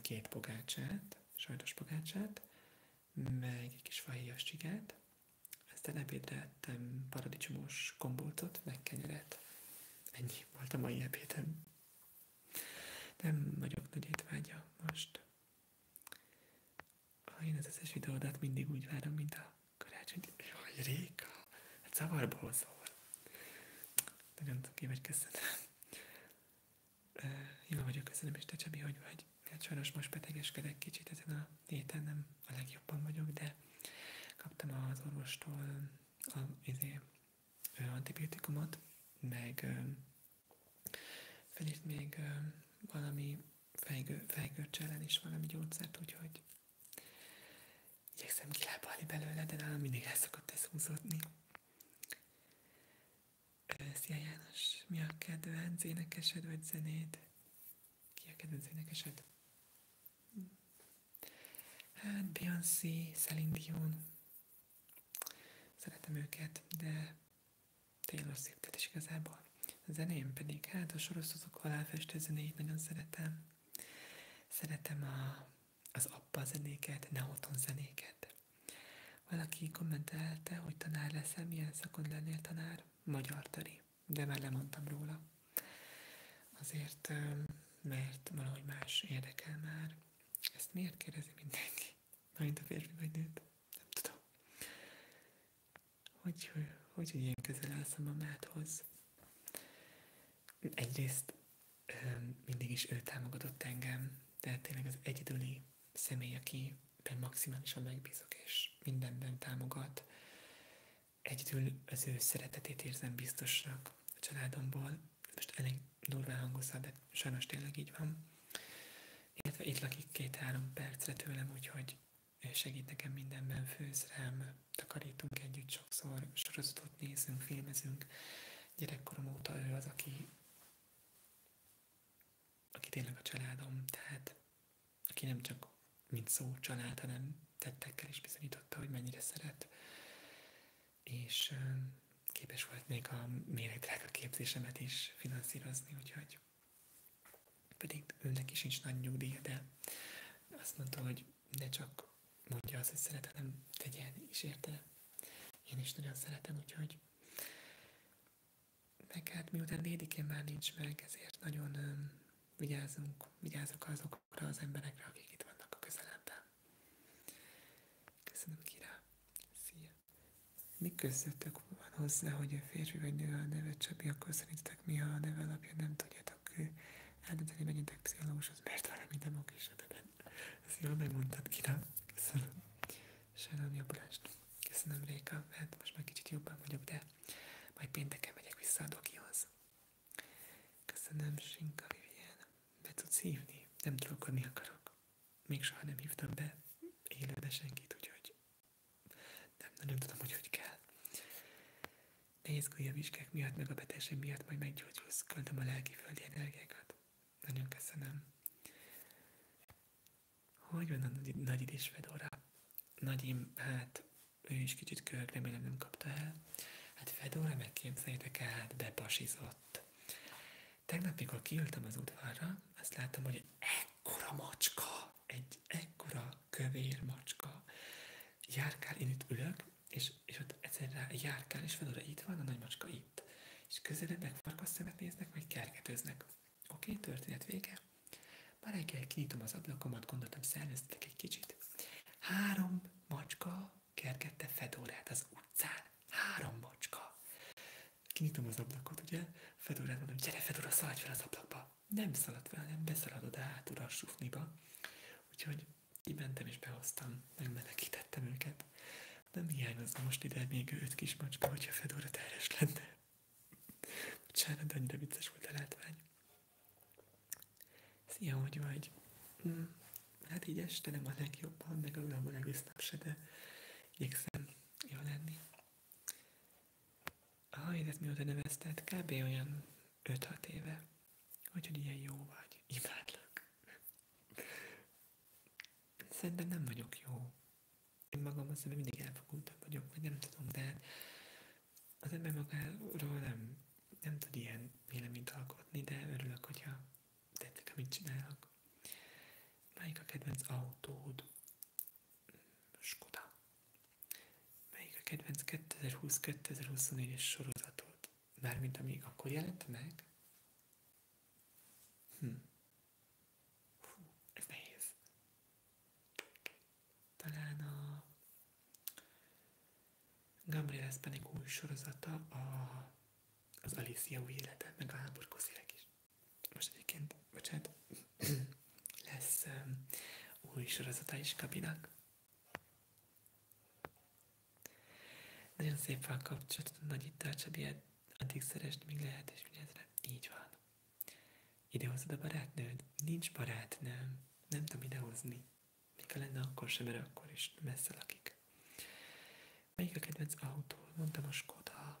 két pogácsát, sajtos pogácsát, meg egy kis fahéjas csigát, aztán ebédre ettem paradicsomos kombócot, meg kenyeret. Ennyi volt a mai ebédem. Nem vagyok nagy étvágya most. Én az összes videódat mindig úgy várom, mint a karácsony. Jaj, Réka! Hát szavarba hozol. Nagyon ki vagy köszönöm. Jól vagyok, köszönöm, és te Csabi, hogy vagy? Hát sajnos most betegeskedek kicsit, ezen a héten nem a legjobban vagyok, de kaptam az orvostól a, izé, antibiotikumot, meg ö, felírt még ö, valami fejgő, fejgőrcs ellen is valami gyógyszert, úgyhogy igyekszem kilábalni belőle, de nálam mindig el szokott ez húzódni. Szia János, mi a kedvenc énekesed vagy zenéd? Ki a kedvenc énekesed? Hát Beyoncé, Celine Dion. Szeretem őket, de Taylor swift is igazából. A zeném pedig, hát a sorozatok halálfestő zenéit nagyon szeretem. Szeretem a, az appa zenéket, neoton zenéket. Valaki kommentelte, hogy tanár leszel, milyen szakon lennél tanár? Magyar tari de már lemondtam róla. Azért, mert valahogy más érdekel már. Ezt miért kérdezi mindenki? Mint a férfi vagy nőt? Nem tudom. Hogy, hogy, hogy ilyen közel állsz a mamádhoz? Egyrészt mindig is ő támogatott engem, de tényleg az egyedüli személy, aki maximálisan megbízok, és mindenben támogat. Egyedül az ő szeretetét érzem biztosnak a családomból. Most elég durván hangozza, de sajnos tényleg így van. Illetve itt lakik két-három percre tőlem, úgyhogy segít nekem mindenben, főz rám, takarítunk együtt sokszor, sorozatot nézünk, filmezünk. Gyerekkorom óta ő az, aki, aki tényleg a családom, tehát aki nem csak mint szó család, hanem tettekkel is bizonyította, hogy mennyire szeret. És képes volt még a méregdrága képzésemet is finanszírozni, úgyhogy pedig önnek is nincs nagy nyugdíja, de azt mondta, hogy ne csak mondja azt, hogy szeret, hanem tegyen is érte. Én is nagyon szeretem, úgyhogy meg hát miután dédikén már nincs meg, ezért nagyon öm, vigyázunk, vigyázok azokra az emberekre, akik itt vannak a közelemben. Köszönöm, Kira. Szia. Mi közöttök van hozzá, hogy a férfi vagy nő a neve Csabi, akkor szerintetek mi a neve alapja, nem tudjátok eldönteni, menjetek pszichológushoz, mert valami nem oké, Ezt jól megmondtad, Kira. Köszönöm. Sajnálom, jobb lást. Köszönöm Réka, hát most már kicsit jobban vagyok, de majd pénteken megyek vissza a dokihoz. Köszönöm Sinka Vivien, be tudsz hívni, nem trollkodni akarok. Még soha nem hívtam be élőbe senkit, úgyhogy nem, nem tudom, hogy hogy kell. Ne izgulj a vizsgák miatt, meg a betegség miatt, majd meggyógyulsz. Köldöm a lelki földi energiákat. Nagyon köszönöm. Hogy van a nagy, nagy idés Fedora? Nagyim, hát ő is kicsit kölyök, remélem nem kapta el. Hát Fedora megképzeljétek el, hát bepasizott. Tegnap, mikor kiültem az udvarra, azt láttam, hogy egy ekkora macska, egy ekkora kövér macska járkál, én itt ülök, és, és ott egyszerűen járkál, és Fedora itt van, a nagy macska itt. És közelebb meg néznek, vagy kergetőznek. Oké, okay, történet vége. Már reggel kinyitom az ablakomat, gondoltam, szerveztek egy kicsit. Három macska kergette Fedorát az utcán. Három macska. Kinyitom az ablakot, ugye? Fedorát mondom, gyere Fedora, szaladj fel az ablakba. Nem szaladt fel, nem beszalad oda hátul a sufniba. Úgyhogy kimentem és behoztam, megmenekítettem őket. Nem hiányozna most ide még öt kis macska, hogyha Fedora terhes lenne. Bocsánat, de vicces volt a látvány. Szia, hogy vagy? Hm. Hát így este nem a legjobban, meg aludom egész nap se, de igyekszem jól lenni. A hajidat mióta nevezted? Kb. olyan 5-6 éve. hogy ilyen jó vagy. Imádlak. Szerintem nem vagyok jó. Én magam azt hiszem, mindig elfogultabb vagyok, vagy nem tudom, de hát az ember magáról nem, nem tud ilyen véleményt alkotni, de örülök, hogyha tetszik, amit csinálok. Melyik a kedvenc autód? Skoda. Melyik a kedvenc 2020-2024-es sorozatod? Mármint amíg akkor jelent meg? Hm. ez talán a Gabriel Spanik új sorozata a, az Alicia új élete, meg a háborgó is. Most egyébként, bocsánat, [clears throat] lesz um, új sorozata is Gabinak. Nagyon szép fel kapcsolat, nagy itt a addig szerest, míg lehet, és mindezre. Így van. Idehozod a barátnőd? Nincs barátnőm. Nem tudom idehozni. Még ha lenne akkor sem, mert akkor is messze lakik. Melyik a kedvenc autó? Mondtam a Skoda.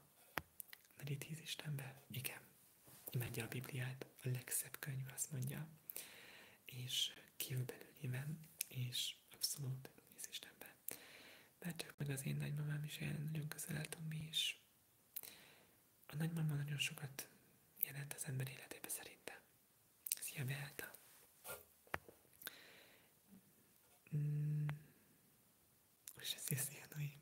Nagy tíz Istenbe? Igen. Imádja a Bibliát, a legszebb könyv, azt mondja. És kiül belőlem, és abszolút tíz Istenbe. Mert ők meg az én nagymamám is olyan nagyon közel álltunk mi is. A nagymama nagyon sokat jelent az ember életébe szerintem. Szia, Beáta! Mm. is szia, Noémi!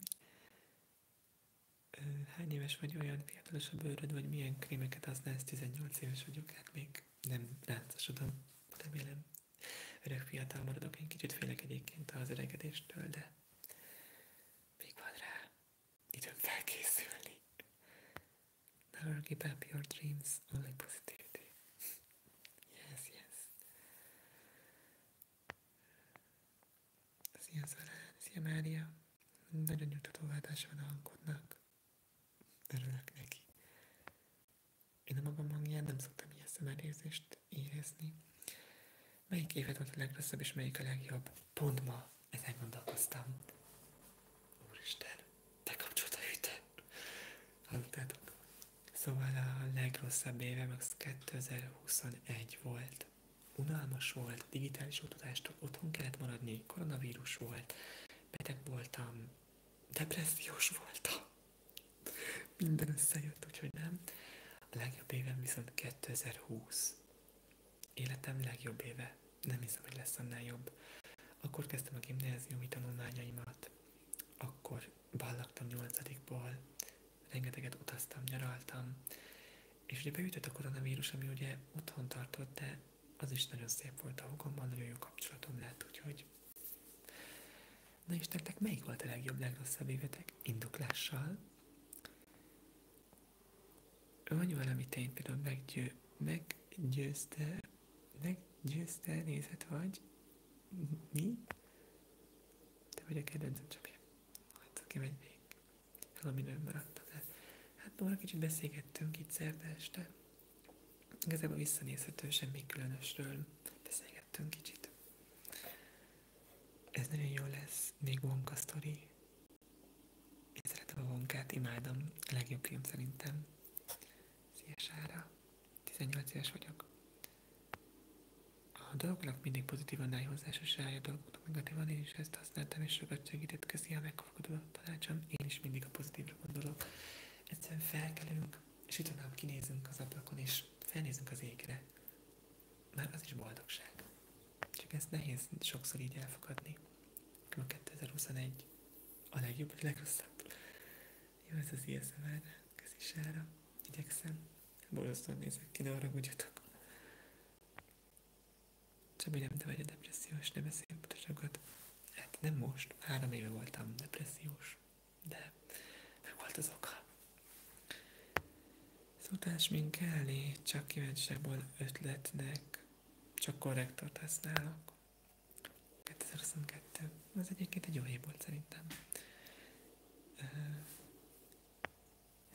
Hány éves vagy olyan fiatalos a bőröd, vagy milyen krémeket használsz? 18 éves vagyok, hát még nem ráncosodom, remélem. Öreg fiatal maradok, én kicsit félek egyébként az öregedéstől, de még van rá időm felkészülni. Never give up your dreams, only positivity. yes, yes. Szia Szarán, szia Mária. Nagyon jó tatóváltása van a hangodnak. Örülök neki. Én a magam hangján nem szoktam ilyen szemelérzést érezni melyik éved volt a legrosszabb, és melyik a legjobb. Pont ma ezen gondolkoztam. Úristen, te kapcsolta hűte. Hallottátok? Szóval a legrosszabb évem az 2021 volt. Unalmas volt, digitális utazást otthon kellett maradni, koronavírus volt, beteg voltam, depressziós voltam. Minden összejött, úgyhogy nem. A legjobb évem viszont 2020. Életem legjobb éve, nem hiszem, hogy lesz annál jobb. Akkor kezdtem a gimnáziumi tanulmányaimat, akkor ballaktam nyolcadikból, rengeteget utaztam, nyaraltam, és ugye beütött a koronavírus, ami ugye otthon tartott, de az is nagyon szép volt a hugomban, nagyon jó kapcsolatom lett, úgyhogy... Na és nektek melyik volt a legjobb, legrosszabb évetek? Indoklással? Van valami tény, például meggyő, meggyőzte, meggyőzte nézet vagy? Mi? Te vagy a kedvencem, Csabi. Hát aki megy még. Valami nőm maradt. Hát Nóra, kicsit beszélgettünk itt szerda este. Igazából visszanézhető, semmi különösről beszélgettünk kicsit. Ez nagyon jó lesz, még vonka sztori. Én szeretem a vonkát, imádom. A legjobb krém szerintem. Szia Sára. 18 éves vagyok. A dolgoknak mindig pozitívan állj hozzá, sose a dolgoknak negatívan. Én is ezt használtam, és sokat segített. Köszi a megkapkodó tanácsom. Én is mindig a pozitívra gondolok. Egyszerűen felkelünk, és utána kinézünk az ablakon, és felnézünk az égre. Már az is boldogság. Csak ez nehéz sokszor így elfogadni. A 2021 a legjobb, a legrosszabb. Jó, ez az ISMR, er. kezisára. Igyekszem. Borzasztóan nézek ki, ne Csak Csabi, nem te vagy a depressziós, ne beszélj butaságot. Hát nem most, három éve voltam depressziós, de meg volt az oka. Szutás minkelni, csak kíváncsiságból ötletnek, csak korrektort használok. 2022. ez egyébként egy jó év volt szerintem.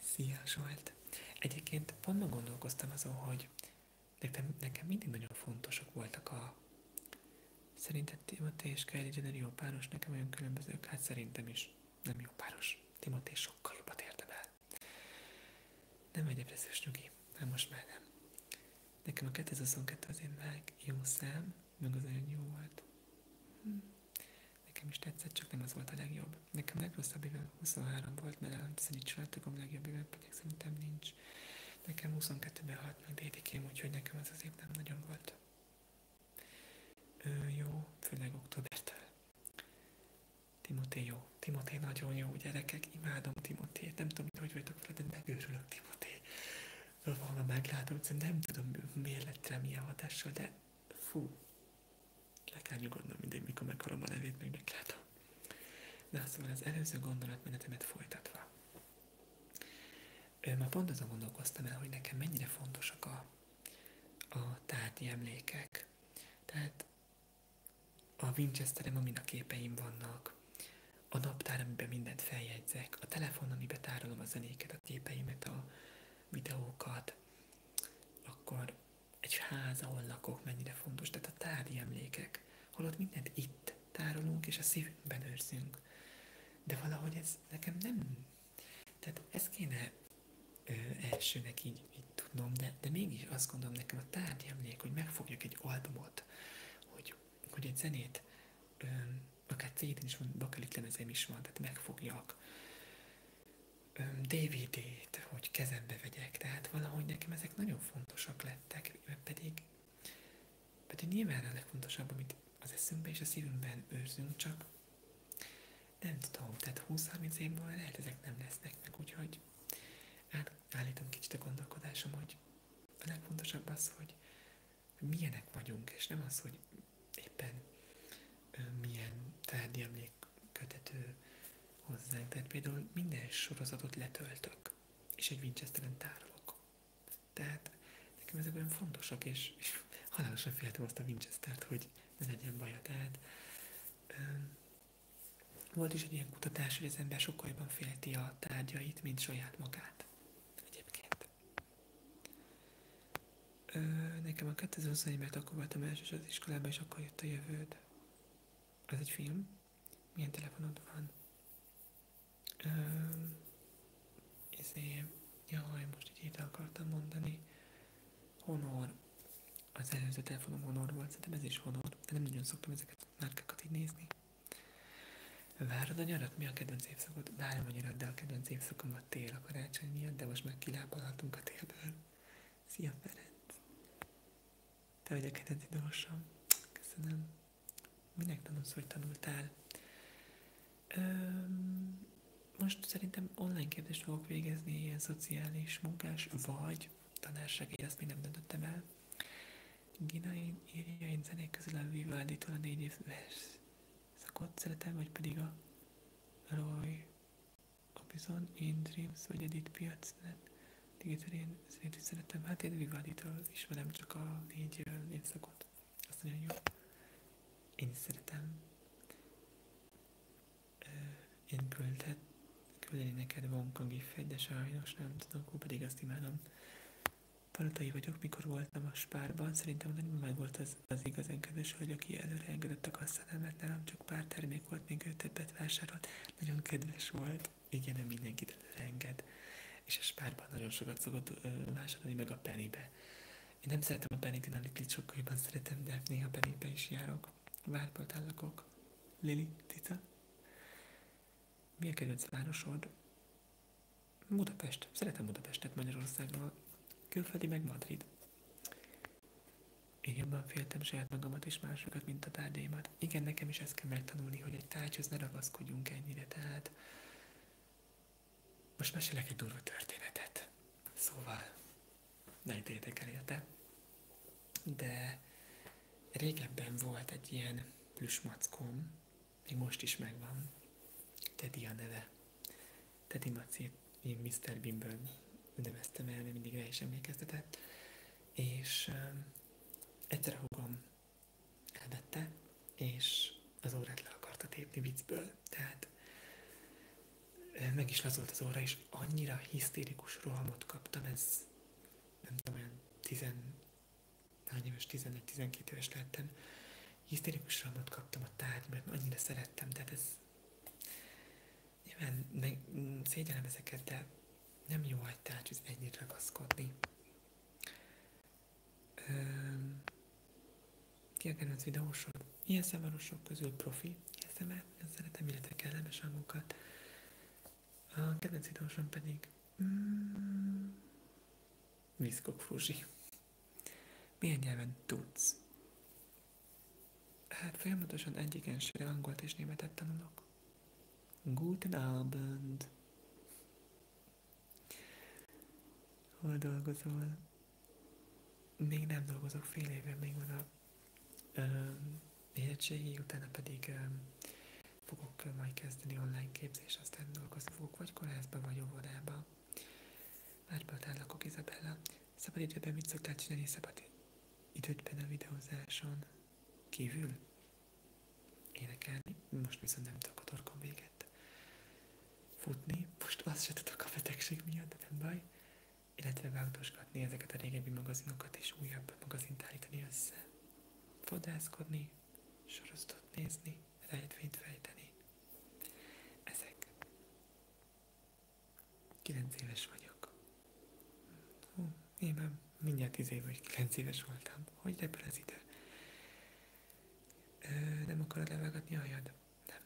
Szia Zsolt! Egyébként pont ma gondolkoztam azon, hogy nekem, nekem mindig nagyon fontosak voltak a Szerinted Timothy és Kylie Jenner jó páros, nekem olyan különbözők? Hát szerintem is nem jó páros. Timothy sokkal jobbat érdemel. Nem egy depressziós nyugi, hát most már nem. Nekem a 2022 azért már jó szám, meg az nagyon jó volt. Hm. Nekem is tetszett, csak nem az volt a legjobb. Nekem a legrosszabb évem 23 volt, mert nem szerint családtagom legjobb évem pedig szerintem nincs. Nekem 22-ben halt meg dédikém, úgyhogy nekem az az év nem nagyon volt. Ö, jó, főleg októbertől. Timoté jó. Timoté nagyon jó, gyerekek, imádom Timotét. Nem tudom, hogy vagytok vele, de megőrülök Timoté. Valahol meglátom, nem tudom, miért lett rá milyen hatással, de fú, le kell nyugodnom mindig, mikor meghallom a nevét, meg meglátom. Na szóval az előző gondolatmenetemet folytatva. ma pont azon gondolkoztam el, hogy nekem mennyire fontosak a, a tárgyi emlékek. Tehát a Winchesterem, amin a képeim vannak, a naptár, amiben mindent feljegyzek, a telefon, amiben tárolom a zenéket, a képeimet, a videókat, akkor egy ház, ahol lakok, mennyire fontos, tehát a tárgyi emlékek, holott mindent itt tárolunk, és a szívben őrzünk. De valahogy ez nekem nem... Tehát ezt kéne ö, elsőnek így, így tudnom, de, de mégis azt gondolom nekem a nélkül, hogy megfogjak egy albumot, hogy, hogy egy zenét, ö, akár cd is van, bakelit lemezem is van, tehát megfogjak. DVD-t, hogy kezembe vegyek, tehát valahogy nekem ezek nagyon fontosak lettek, mert pedig, pedig nyilván a legfontosabb, amit az eszünkben és a szívünkben őrzünk, csak nem tudom, tehát 20-30 év múlva lehet ezek nem lesznek meg, úgyhogy állítom kicsit a gondolkodásom, hogy a legfontosabb az, hogy milyenek vagyunk, és nem az, hogy éppen milyen tárgyi emlék kötető hozzánk. Tehát például minden sorozatot letöltök, és egy Winchesteren tárolok. Tehát nekem ezek olyan fontosak, és, és halálosan féltem azt a Winchestert, hogy ne legyen baja. Tehát volt is egy ilyen kutatás, hogy az ember sokkal jobban félti a tárgyait, mint saját magát. Egyébként. Ö, nekem a 2021-ben akkor voltam elsős az iskolában, és akkor jött a jövőd. Ez egy film. Milyen telefonod van? Ö, ezért, jaj, most egy hét akartam mondani. Honor. Az előző telefonom Honor volt, szerintem ez is Honor, de nem nagyon szoktam ezeket a márkákat így nézni. Várod a nyarat? Mi a kedvenc évszakod? Várom a nyarat, de a kedvenc évszakom a tél a karácsony miatt, de most már kilábalhatunk a télből. Szia Ferenc! Te vagy a kedvenc idolosom. Köszönöm. Minek tanulsz, hogy tanultál? Öm, most szerintem szerintem online képzést fogok végezni, ilyen szociális munkás vagy tanársegély, ezt még nem döntöttem el. Gina, én írja, én zenék közül a vivaldi a négy éves szakot szeretem, vagy pedig a Roy Orbison, In Dreams, vagy Edith Piac, Digital, én zenét is szeretem, hát én Vivaldi-tól ismerem csak a négy évszakot, azt nagyon jó. Én szeretem én küldhet, küldeni neked Vonka gifet, de sajnos nem tudok, pedig azt imádom. Palotai vagyok, mikor voltam a spárban, szerintem nagyon meg volt az, az igazán kedves hölgy, aki előre engedett a kasszánál, mert nálam csak pár termék volt, még ő többet vásárolt. Nagyon kedves volt. Igen, nem mindenkit előre enged. És a spárban nagyon sokat szokott ö, vásárolni, meg a penibe. Én nem szeretem a penit, én a sokkal jobban szeretem, de néha penibe is járok várpoltán lakok. Lili, Cica. Mi a kedvenc városod? Budapest. Szeretem Budapestet Magyarországról. Külföldi meg Madrid. Én Igenben féltem saját magamat és másokat, mint a tárgyaimat. Igen, nekem is ezt kell megtanulni, hogy egy tárgyhoz ne ragaszkodjunk ennyire, tehát... Most mesélek egy durva történetet. Szóval, nagy tétek érte. De régebben volt egy ilyen plüsmackom, még most is megvan, Teddy a neve. Teddy Maci, én Mr. Beanből neveztem el, mert mindig rá is emlékeztetett. És um, egyszer a húgom elvette, és az órát le akarta tépni viccből. Tehát meg is lazolt az óra, és annyira hisztérikus rohamot kaptam, ez nem tudom, olyan tizen, hány éves, 11-12 éves lettem, hisztérikus rohamot kaptam a tárgy, mert annyira szerettem, tehát ez nyilván meg, szégyenem ezeket, de nem jó egy tárgyhoz ennyit ragaszkodni. Ki a kedvenc videósod? Ilyen szavarosok közül profi, ASMR, ezt szeretem, illetve kellemes hangokat. A kedvenc idősom pedig mm, Viszkok Fuzsi. Milyen nyelven tudsz? Hát folyamatosan egyiken se angolt és németet tanulok. Guten Abend! Hol dolgozol? Még nem dolgozok, fél éve még van a érettségi, utána pedig fogok majd kezdeni online képzés, aztán dolgozni fogok, vagy kórházba, vagy óvodába. Várböltán lakok Izabella. Szabad időben mit szoktál csinálni szabad idődben a videózáson? Kívül? Énekelni? Most viszont nem tudok a torkom véget. Futni? Most azt se tudok a betegség miatt, de nem baj illetve változgatni ezeket a régebbi magazinokat és újabb magazint állítani össze. Fodászkodni, sorozatot nézni, rejtvényt fejteni. Ezek. 9 éves vagyok. Hú, én már mindjárt 10 év vagy 9 éves voltam. Hogy repül az idő? Ö, nem akarod levágatni a hajad? Nem.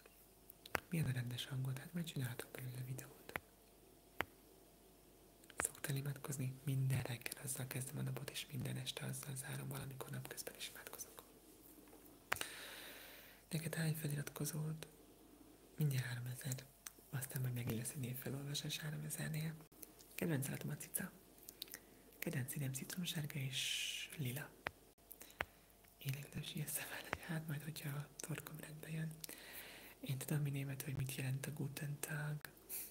Milyen a rendes hangod? Hát majd csinálhatok belőle videót. Szoktam imádkozni, minden reggel azzal kezdem a napot, és minden este azzal zárom, valamikor napközben is imádkozok. Neked hány feliratkozód? Mindjárt 3000. Aztán majd megint lesz egy névfelolvasás 3000-nél. Kedvenc állatom a cica. Kedvenc színem citromsárga és lila. Én egy ilyen szemel, hát majd, hogyha a torkom rendbe Én tudom mi német hogy mit jelent a Guten Tag.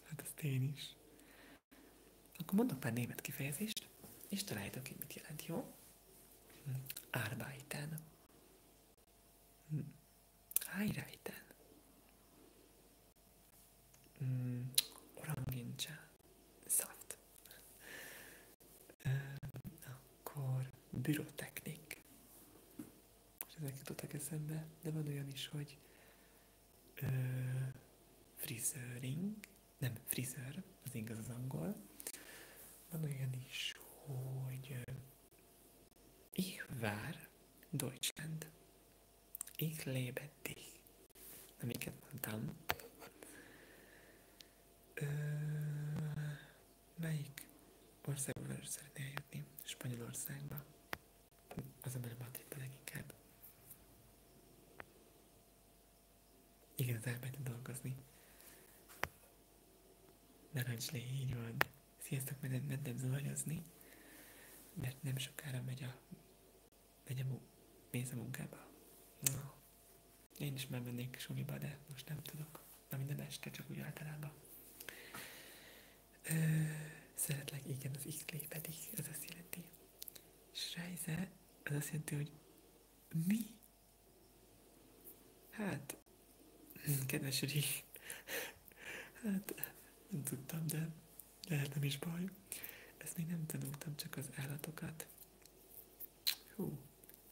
Hát azt én is. Akkor mondok pár német kifejezést, és találjátok ki, mit jelent, jó? Hm, Arbeiten. Hm, Heireiten. Orangincsa. Hm, Szaft. Akkor bürotechnik és ezek jutottak eszembe, de van olyan is, hogy ö, frizőring, nem, frizőr, az igaz az angol. Van olyan is, hogy ich war Deutschland. Ich lebe dich. Nem, mondtam. Ö, Melyik országba szeretnél jutni? Spanyolországba? Az ember Madridba leginkább. Igen, az elmegy dolgozni. Narancslé, így van. Sziasztok, mentem, mentem zuhanyozni, mert nem sokára megy a, megy a, mu- mész a munkába. Én is már mennék suliba, de most nem tudok. Na minden este, csak úgy általában. Ö, szeretlek, igen, az x pedig, ez azt jelenti. Srejze, az azt jelenti, hogy mi? Hát, hm, kedves Uri, hát nem tudtam, de lehet nem is baj. Ezt még nem tanultam, csak az állatokat. Hú,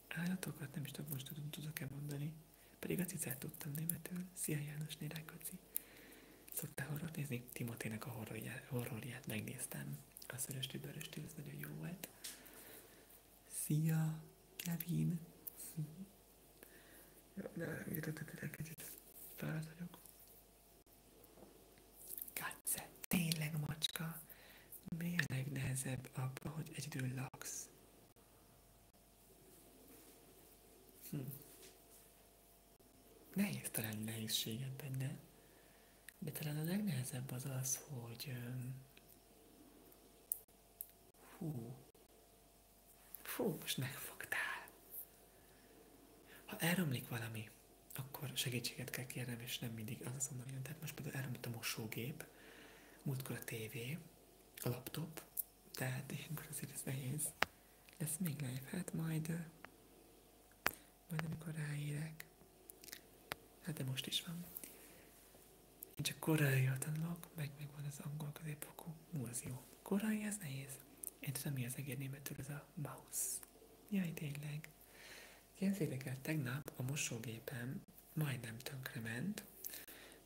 állatokat nem is tudom, most tudom, tudok-e mondani. Pedig azt cicát tudtam németül. Szia János Nérákoci. Szoktál horror nézni? Timotének a horrorját, horrorját megnéztem. A szörös tüdörös tűz nagyon jó volt. Szia, Kevin! De jutottak egy kicsit felállt vagyok. Katze, tényleg macska! a legnehezebb abba, hogy egyedül laksz? Hm. Nehéz találni nehézséget benne, de talán a legnehezebb az az, hogy hú, fú, most megfogtál. Ha elromlik valami, akkor segítséget kell kérnem, és nem mindig az azonnal jön. Tehát most például elromlott a mosógép, múltkor a tévé, a laptop, tehát ilyenkor azért ez nehéz. Lesz még live, hát majd, majd amikor ráérek. Hát de most is van. Én csak koreaiul tanulok, meg meg van az angol középfokú. Hú, az jó. Korai ez nehéz. Én tudom, mi az egér németül, ez a mouse. Jaj, tényleg. Képzétek el, tegnap a mosógépen majdnem tönkrement,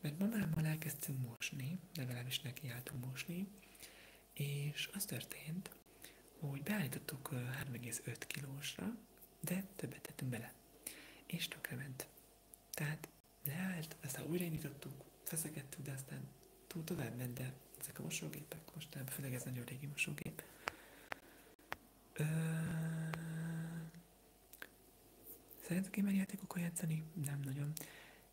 mert mamámmal elkezdtünk mosni, legalábbis nekiálltunk mosni, és az történt, hogy beállítottuk 3,5 kilósra, de többet tettünk bele, és tönkrement. Tehát leállt, aztán újraindítottuk, feszegettük, de aztán túl tovább ment, de ezek a mosógépek, most nem, főleg ez nagyon régi mosógép. Ö... Szeretsz gamerjátékokkal játszani? Nem nagyon.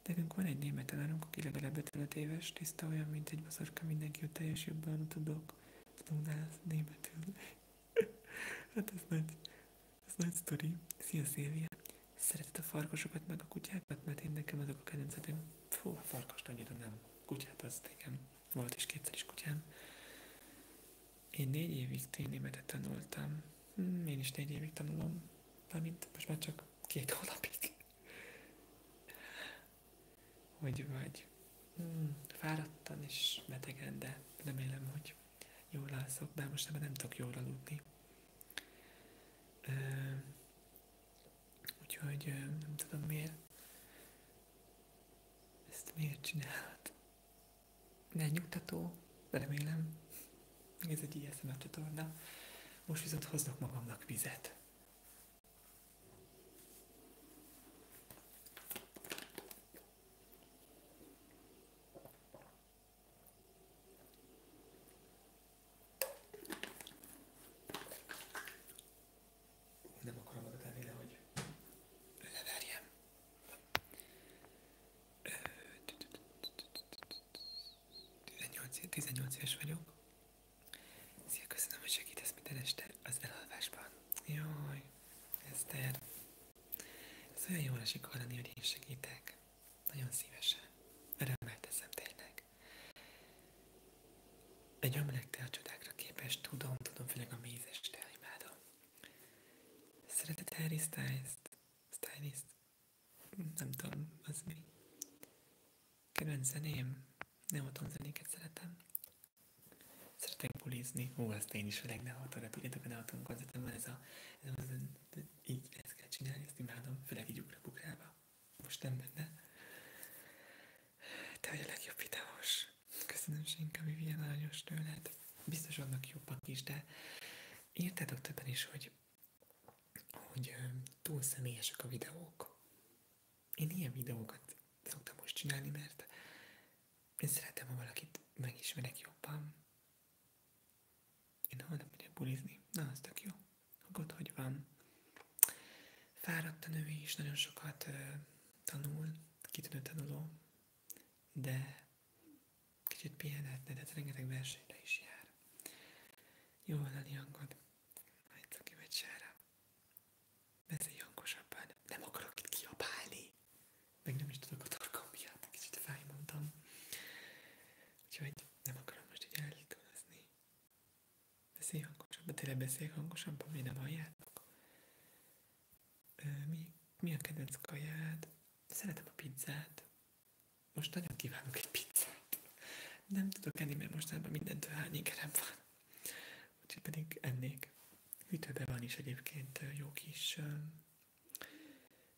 Nekünk van egy német tanárunk, aki legalább 55 éves, tiszta olyan, mint egy baszorka, mindenki a teljes jobban tudok. Tudnász németül. [laughs] hát ez nagy, ez nagy sztori. Szia Szilvia! Szereted a farkasokat meg a kutyákat? Mert én nekem azok a kedvencetem. Fú, a farkast annyira nem. Kutyát az nekem. Volt is kétszer is kutyám. Én négy évig ténémetet tanultam. Hm, én is négy évig tanulom. Mármint most már csak két [laughs] hónapig. Hogy vagy? Hm, fáradtan és betegen, de remélem, hogy jól alszok, bár most már nem tudok jól aludni. úgyhogy nem tudom miért. Ezt miért csinálod? megnyugtató, remélem. Ez egy ISM er csatorna. Most viszont hoznak magamnak vizet. Nem akarom oda tenni, 18, 18 éves vagyok. Szia, köszönöm, hogy segítesz minden este az elalvásban. Jaj, Eszter. Ez olyan jól esik hallani, hogy én segítek. Nagyon szívesen. Örömmel teszem tényleg. Egy ömlek te a csodákra képes, tudom, tudom, főleg a mézes te imádom. Szereted Harry Styles-t? Stylist? nem tudom, az mi. Kedvenc zeném? Neoton zenéket szeretem. Szeretek bulizni. Hú, azt én is öreg neotonra. Tudjátok, a neoton az van ez a... Ez a így ezt kell csinálni, ezt imádom. Főleg így ugrabugrába. Most nem benne. Te vagy a legjobb videós. Köszönöm, Senka, a aranyos tőled. Biztos vannak jobbak is, de Írtátok többen is, hogy, hogy túl személyesek a videók. Én ilyen videókat szoktam most csinálni, mert én szeretem, ha valakit megismerek jobban. Én holnap megyek bulizni. Na, az tök jó. Akkor hogy van. Fáradt a nő is, nagyon sokat ö, tanul, kitűnő tanuló, de Kicsit pihenhetne, de ez rengeteg versenyre is jár. Jó van hallani hangod. Majd cuki vagy sára. Beszélj hangosabban. Nem akarok itt kiabálni. Meg nem is tudok a torkom miatt. Kicsit fájmondtam. Úgyhogy nem akarom most így elkövezni. Beszélj hangosabban. Tényleg beszélj hangosabban, mi nem halljátok. Ö, mi, mi a kedvenc kaját? Szeretem a pizzát. Most nagyon kívánok egy pizzát. Nem tudok enni, mert most mostanában mindentől hányékerem van. Úgyhogy pedig ennék. Hűtőben van is egyébként jó kis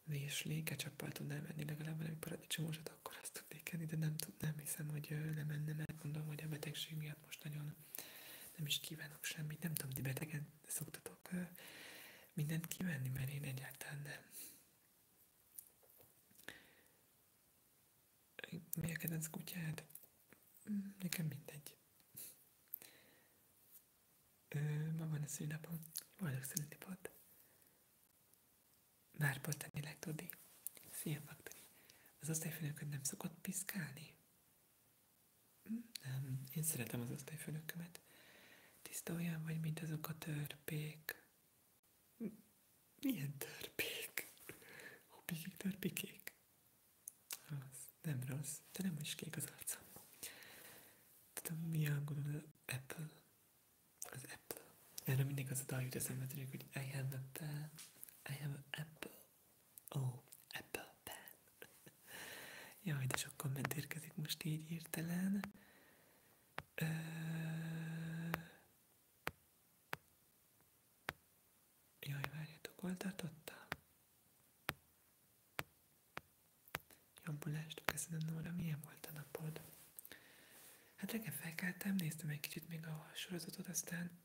vésli, ketchuppal tudnám enni legalább valami paradicsomosat, akkor azt tudnék enni, de nem tudnám, hiszem, hogy nem enne, mert gondolom, hogy a betegség miatt most nagyon nem is kívánok semmit, nem tudom, ti betegen mindent szoktatok mindent kivenni, mert én egyáltalán nem. Mi a kedvenc kutyád? Mm, nekem mindegy. Ö, ma van a szűnapom. Boldog volt. Már tényleg tudni. Szia, Faktori. Az osztályfőnököd nem szokott piszkálni? Mm, nem, én szeretem az osztályfőnökömet. Tiszta olyan vagy, mint azok a törpék. Milyen törpék? A pikik törpikék? Az nem rossz, te nem is kék az arcom. Tudom, mi a az Apple. Az Apple. Erre mindig az a dal jut eszembe, tudjuk, hogy I have a pen, I have an apple. Oh, apple pen. [laughs] Jaj, de sok komment érkezik most így hirtelen. Ö... Jaj, várjátok, hol tartottam? Jobbulást, köszönöm Nóra, milyen volt a napod? Hát reggel felkeltem, néztem egy kicsit még a sorozatot, aztán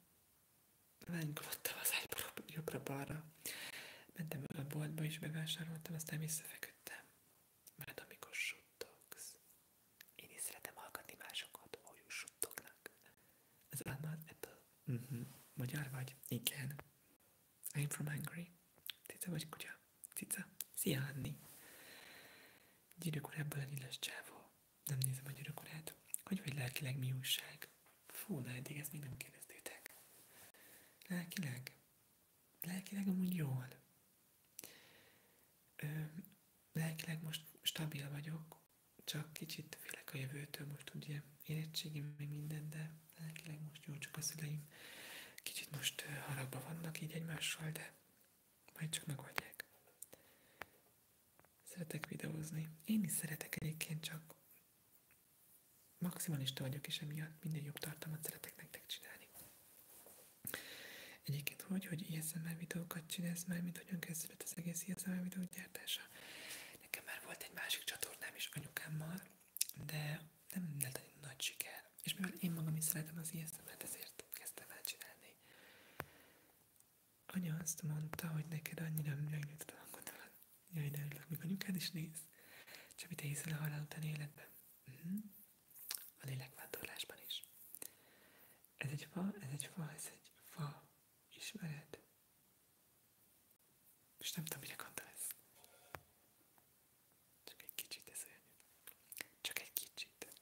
lánykolottam az ágyból jobbra-balra. Mentem a boltba is, bevásároltam, aztán visszafeküdtem. Mert amikor suttogsz, én is szeretem hallgatni másokat, hogy suttognak. Ez álmod ettől. Mhm. Magyar vagy? Igen. I'm from Hungary. Cica vagy kutya? Cica. Szia, Anni. Gyűrűkorábban a nyilas csávó. Nem nézem a gyűrűkorát. Hogy vagy lelkileg mi újság? Fú, de eddig ezt még nem kérdeztétek. Lelkileg? lelkileg amúgy jól. Ö, lelkileg most stabil vagyok, csak kicsit félek a jövőtől, most ugye érettségim meg minden, de lelkileg most jól csak a szüleim kicsit most haragba vannak így egymással, de majd csak megoldják. Szeretek videózni. Én is szeretek egyébként, csak maximalista vagyok, és emiatt minden jobb tartalmat szeretek nektek csinálni. Egyébként hogy, hogy ISMR videókat csinálsz már, mint hogyan kezdődött az egész ISMR videó gyártása? Nekem már volt egy másik csatornám is anyukámmal, de nem lett egy nagy siker. És mivel én magam is szeretem az ISMR-t, ezért kezdtem el csinálni. Anya azt mondta, hogy neked annyira megnyugtat a hangodat. Jaj, de örülök, még anyukád is néz. Csabi, te hiszel a halál után életben. Mhm. A lélekvándorlásban is. Ez egy fa, ez egy fa, ez egy fa. ismeret. És nem tudom, mire gondolsz. Csak egy kicsit ez Csak egy kicsit.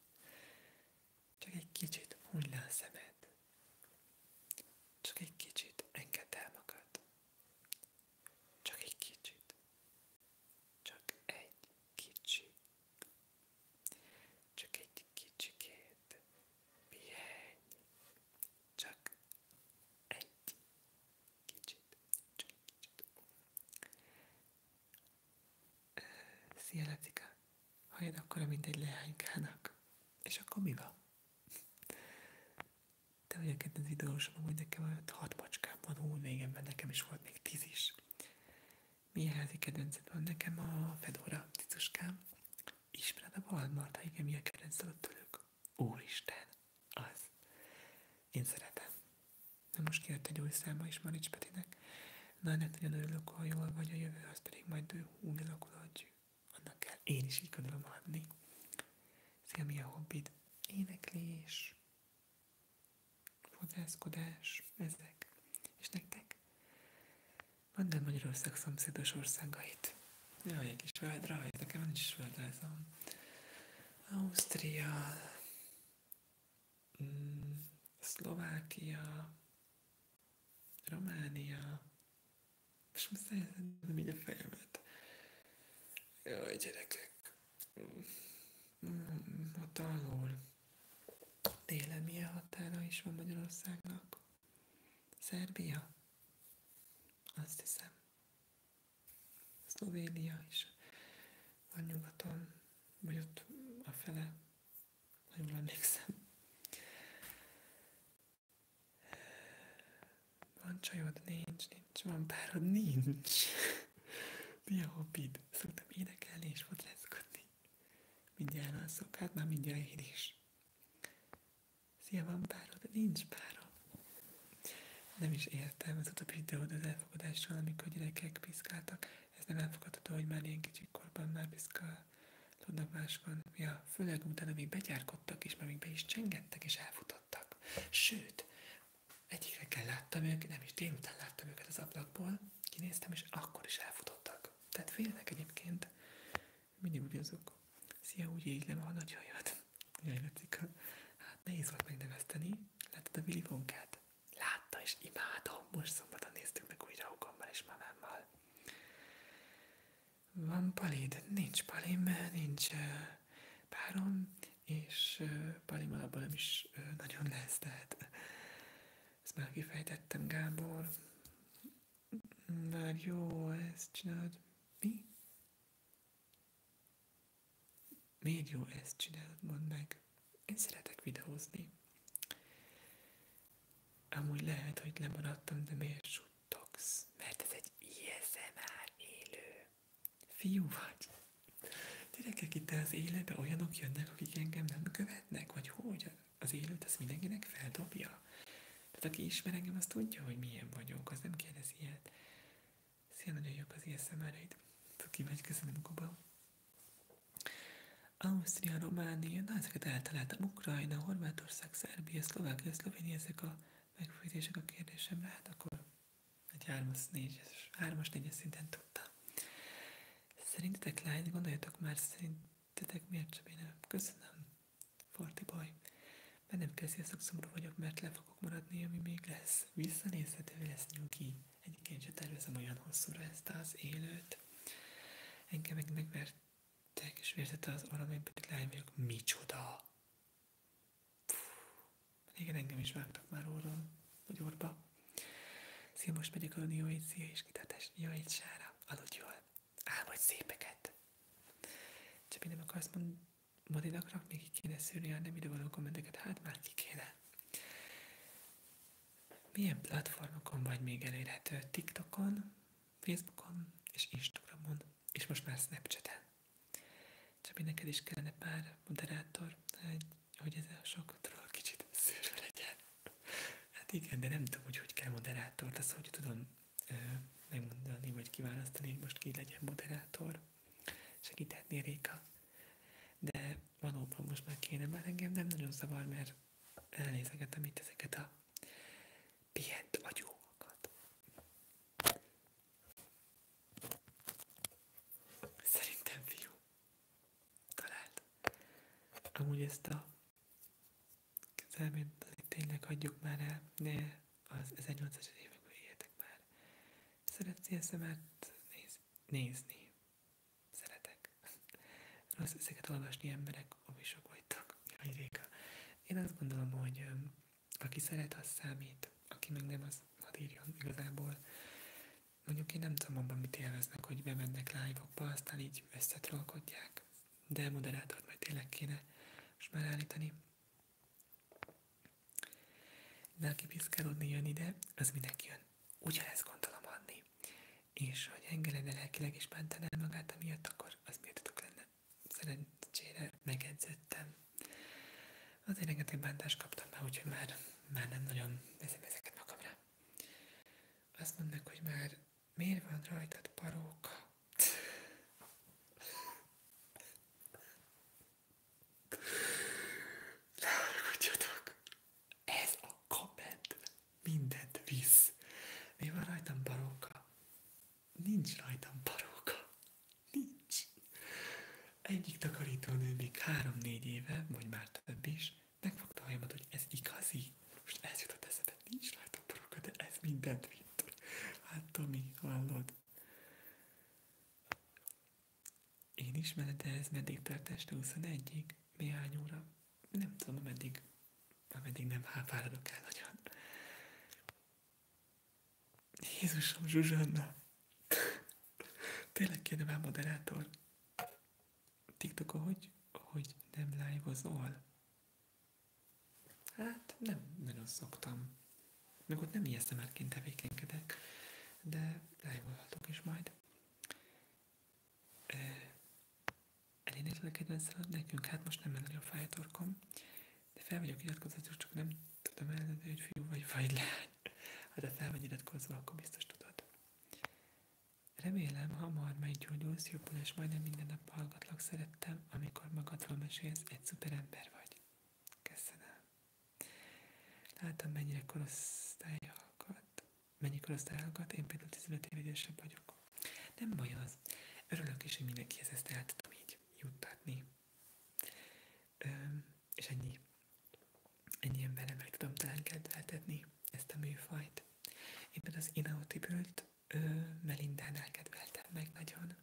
Csak egy kicsit hunyd a szemed. Csak egy kicsit engedd magad. Csak egy kicsit. Csak egy kicsi, csak egy kicsikét pihenj, csak egy kicsit, csak egy kicsit. Szia Leptika, halljad akkora, mint egy leánykának. És akkor mi van? te vagy a kedvenc videósom, amúgy nekem olyan hat macskám van, hú, régenben nekem is volt még tíz is. Milyen házi kedvenced van? Nekem a Fedora cicuskám. Ismered a Valmarta? Hát igen, milyen kedvenc alatt tőlük? Úristen, az. Én szeretem. Na most kijött egy új száma is Marics Petinek. Na, ennek nagyon örülök, ha jól vagy a jövő, az pedig majd úgy alakul, hogy annak kell. Én is így gondolom adni. Szia, mi a hobbid? Éneklés fodrászkodás, ezek. És nektek? Van nem Magyarország szomszédos országait. Jaj, egy kis földre, hogy nekem nincs is földrajzom. Ausztria, mm, Szlovákia, Románia, és most nem így a fejemet. Jaj, gyerekek. Mm. Mm, ott alul délen milyen határa is van Magyarországnak? Szerbia? Azt hiszem. Szlovénia is A nyugaton, vagy ott a fele, ha jól emlékszem. Van csajod? Nincs, Nincs, van párod, nincs. Mi a hobbid? Szoktam énekelni és fotrászkodni. Mindjárt alszok, hát már mindjárt én is. Szia, van párod? Nincs párod. Nem is értem az utóbbi videód az elfogadással, amikor gyerekek piszkáltak. Ez nem elfogadható, hogy már ilyen kicsi korban már piszkálódnak máskon. Ja, főleg utána még begyárkodtak, és már még be is csengettek, és elfutottak. Sőt, egyikre reggel láttam őket, nem is délután láttam őket az ablakból, kinéztem, és akkor is elfutottak. Tehát félnek egyébként. Mindig ugyanazok. Szia, úgy églem a nagy hajat. Jaj, Lacika. Hát nehéz volt megnevezteni. Láttad a Willy Wonkát? Látta, és imádom. Most szombaton néztük meg újra Hukommal és mamámmal. Van palid? Nincs palim, nincs párom, és Palimmal abban nem is nagyon lesz, tehát ezt már kifejtettem, Gábor. Már jó, ezt csinálod. Mi? Miért jó ezt csinálod, mondd meg. Én szeretek videózni. Amúgy lehet, hogy lemaradtam, de miért suttogsz? Mert ez egy ISMR élő. Fiú vagy. Gyerekek, itt az életbe olyanok jönnek, akik engem nem követnek, vagy hogy? Az élet az mindenkinek feldobja. Tehát aki ismer engem, az tudja, hogy milyen vagyok, az nem kérdezi ilyet. Szia, nagyon jók az ilyen szemereid. Tuki vagy, köszönöm, Kuba. Ausztria, Románia, na ezeket eltaláltam, Ukrajna, Horvátország, Szerbia, Szlovákia, Szlovénia, ezek a megfejtések a kérdésemre, hát akkor egy 3-as, 4-es, 3-as, 4 szinten tudtam. Szerintetek lány, gondoljatok már, szerintetek miért csebénem? Köszönöm, Forti boy. Mert nem kell, sziasztok, szomorú vagyok, mert le fogok maradni, ami még lesz. Visszanézhető lesz nyugi. Egyébként se tervezem olyan hosszúra ezt az élőt. Engem meg megvertek, és vértette az orrom, én pedig lány vagyok. Micsoda! régen engem is vágtak már orron, vagy orba. Szia, most megyek aludni, jó szia, és kitátás, jó egy sára, aludj jól, álmodj szépeket. Csabi, nem akarsz mondani, Madinaknak még ki kéne szűrni a nem idevaló kommenteket, hát már ki kéne. Milyen platformokon vagy még elérhető? TikTokon, Facebookon és Instagramon, és most már Snapchaten csak neked is kellene pár moderátor, hogy ez a sok troll kicsit szűrve legyen. Hát igen, de nem tudom, hogy hogy kell moderátor, azt szóval, hogy tudom ö, megmondani, vagy kiválasztani, hogy most ki legyen moderátor. Segíthetné Réka. De valóban most már kéne, már engem nem nagyon zavar, mert elnézegetem itt ezeket a pihent agyúakat. Szerintem fiú. Talált. Amúgy ezt a kezelményt tényleg hagyjuk már el, de az 1800-es években már. Szeretsz ilyen szemet nézni? Szeretek. Rossz ezeket olvasni emberek, ami sok vagytok. Jaj, Réka. Én azt gondolom, hogy aki szeret, az számít. Aki meg nem, az hadd írjon igazából. Mondjuk én nem tudom abban, mit élveznek, hogy bemennek live-okba, aztán így összetrolkodják. De moderátort majd tényleg kéne most már állítani. De aki piszkálódni jön ide, az mindenki jön. Ugyanezt gondolom adni. És hogy engedene lelkileg is bántaná magát amiatt, akkor az miért birtotok lenne. Szerencsére megedződtem. Azért rengeteg bántást kaptam már, úgyhogy már, már nem nagyon veszem ezeket magamra. Azt mondd meg, hogy már miért van rajtad paróka? Leharagudjatok! Ez a komment mindent visz. Mi van rajtam paróka? Nincs rajtam paróka. Nincs egyik takarítónő még három-négy éve, vagy már több is, megfogta a hajamat, hogy ez igazi. Most ez jutott eszembe, nincs rajta borúka, de ez mindent vitt. Hát Tomi, hallod? Én is menet, de ez meddig tart este 21-ig? Néhány óra? Nem tudom, ameddig, ameddig nem hápáradok el nagyon. Jézusom, Zsuzsanna! [laughs] Tényleg kéne már moderátor. TikTokon hogy, hogy nem live-ozol? Hát nem nagyon szoktam. Meg ott nem ilyesztem el kint tevékenykedek, de live-olhatok is majd. Elénekelkedve nekünk, hát most nem nagyon a torkom, de fel vagyok iratkozatok, csak nem tudom eldönteni, hogy fiú vagy, vagy lány. Hát ha fel vagy iratkozva, akkor biztos tudod. Remélem, hamar meggyógyulsz, jobbul, és majdnem minden nap hallgatlak, szerettem, amikor magadról mesélsz, egy szuper ember vagy. Köszönöm. Látom, mennyire korosztály hallgat. Mennyi korosztály hallgat, én például 15 év idősebb vagyok. Nem baj az. Örülök is, hogy mindenkihez ezt el tudom így juttatni és ennyi, ennyi emberre meg tudom talán kedveltetni ezt a műfajt. Éppen az Inautibült Melindánál kedveltem meg nagyon.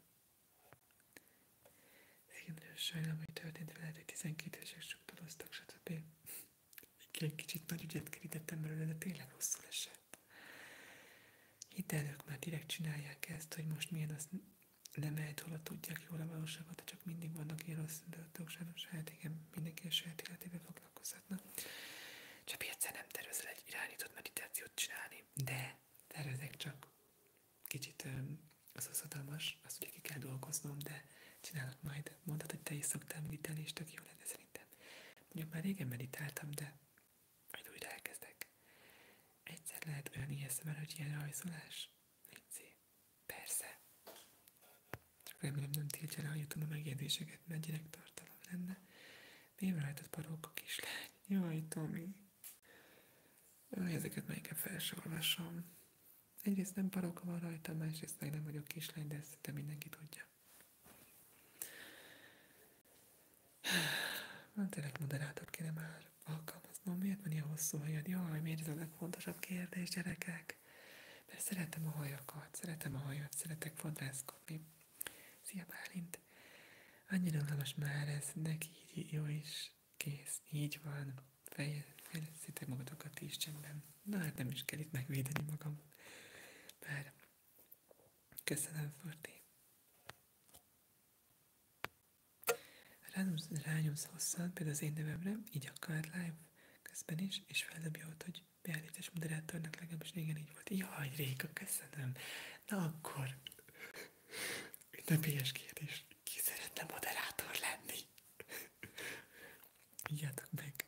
Igen, nagyon sajnálom, hogy történt veled, hogy 12-esek struktúroztak, stb. Egy kicsit nagy ügyet kerítettem belőle, de tényleg rosszul esett. Hidd el, már direkt csinálják ezt, hogy most milyen, az? nem állítólag tudják jól a valóságot, csak mindig vannak ilyen rossz döntők, sajnos hát igen, mindenki a saját életével foglalkozhatna. Csak egyszer nem tervezel egy irányított meditációt csinálni, de tervezek csak. Kicsit az az adalmas, azt ugye ki kell dolgoznom, de csinálok majd. Mondtad, hogy te is szoktál meditálni, és tök jó lenne szerintem. Mondjuk már régen meditáltam, de majd újra elkezdek. Egyszer lehet olyan ijesztő, er, hogy ilyen rajzolás. Légy Persze. Csak remélem nem tiltja le a YouTube a megjegyzéseket, mert gyerektartalom lenne. Miért rajtad parolk a kislány? Jaj, Tomi. Ezeket már inkább fel sem Egyrészt nem paroka van rajta, másrészt meg nem vagyok kislány, de ezt te mindenki tudja. Van tényleg moderátor, kéne már alkalmaznom. Miért van ilyen hosszú hajad? Jaj, miért ez a legfontosabb kérdés, gyerekek? Mert szeretem a hajakat, szeretem a hajat, szeretek fodrászkodni. Szia Bálint! Annyira unalmas már ez, neki így jó is, kész, így van, fejleszítek magatokat is csendben. Na hát nem is kell itt megvédeni magam. Bár, köszönöm, Forti. Rányomsz, rányomsz hosszan, például az én nevemre, így akár live közben is, és feldobja ott, hogy beállítás moderátornak legalábbis régen így volt. Jaj, Réka, köszönöm. Na akkor, ünnepélyes kérdés, ki szeretne moderátor lenni? Írjátok meg.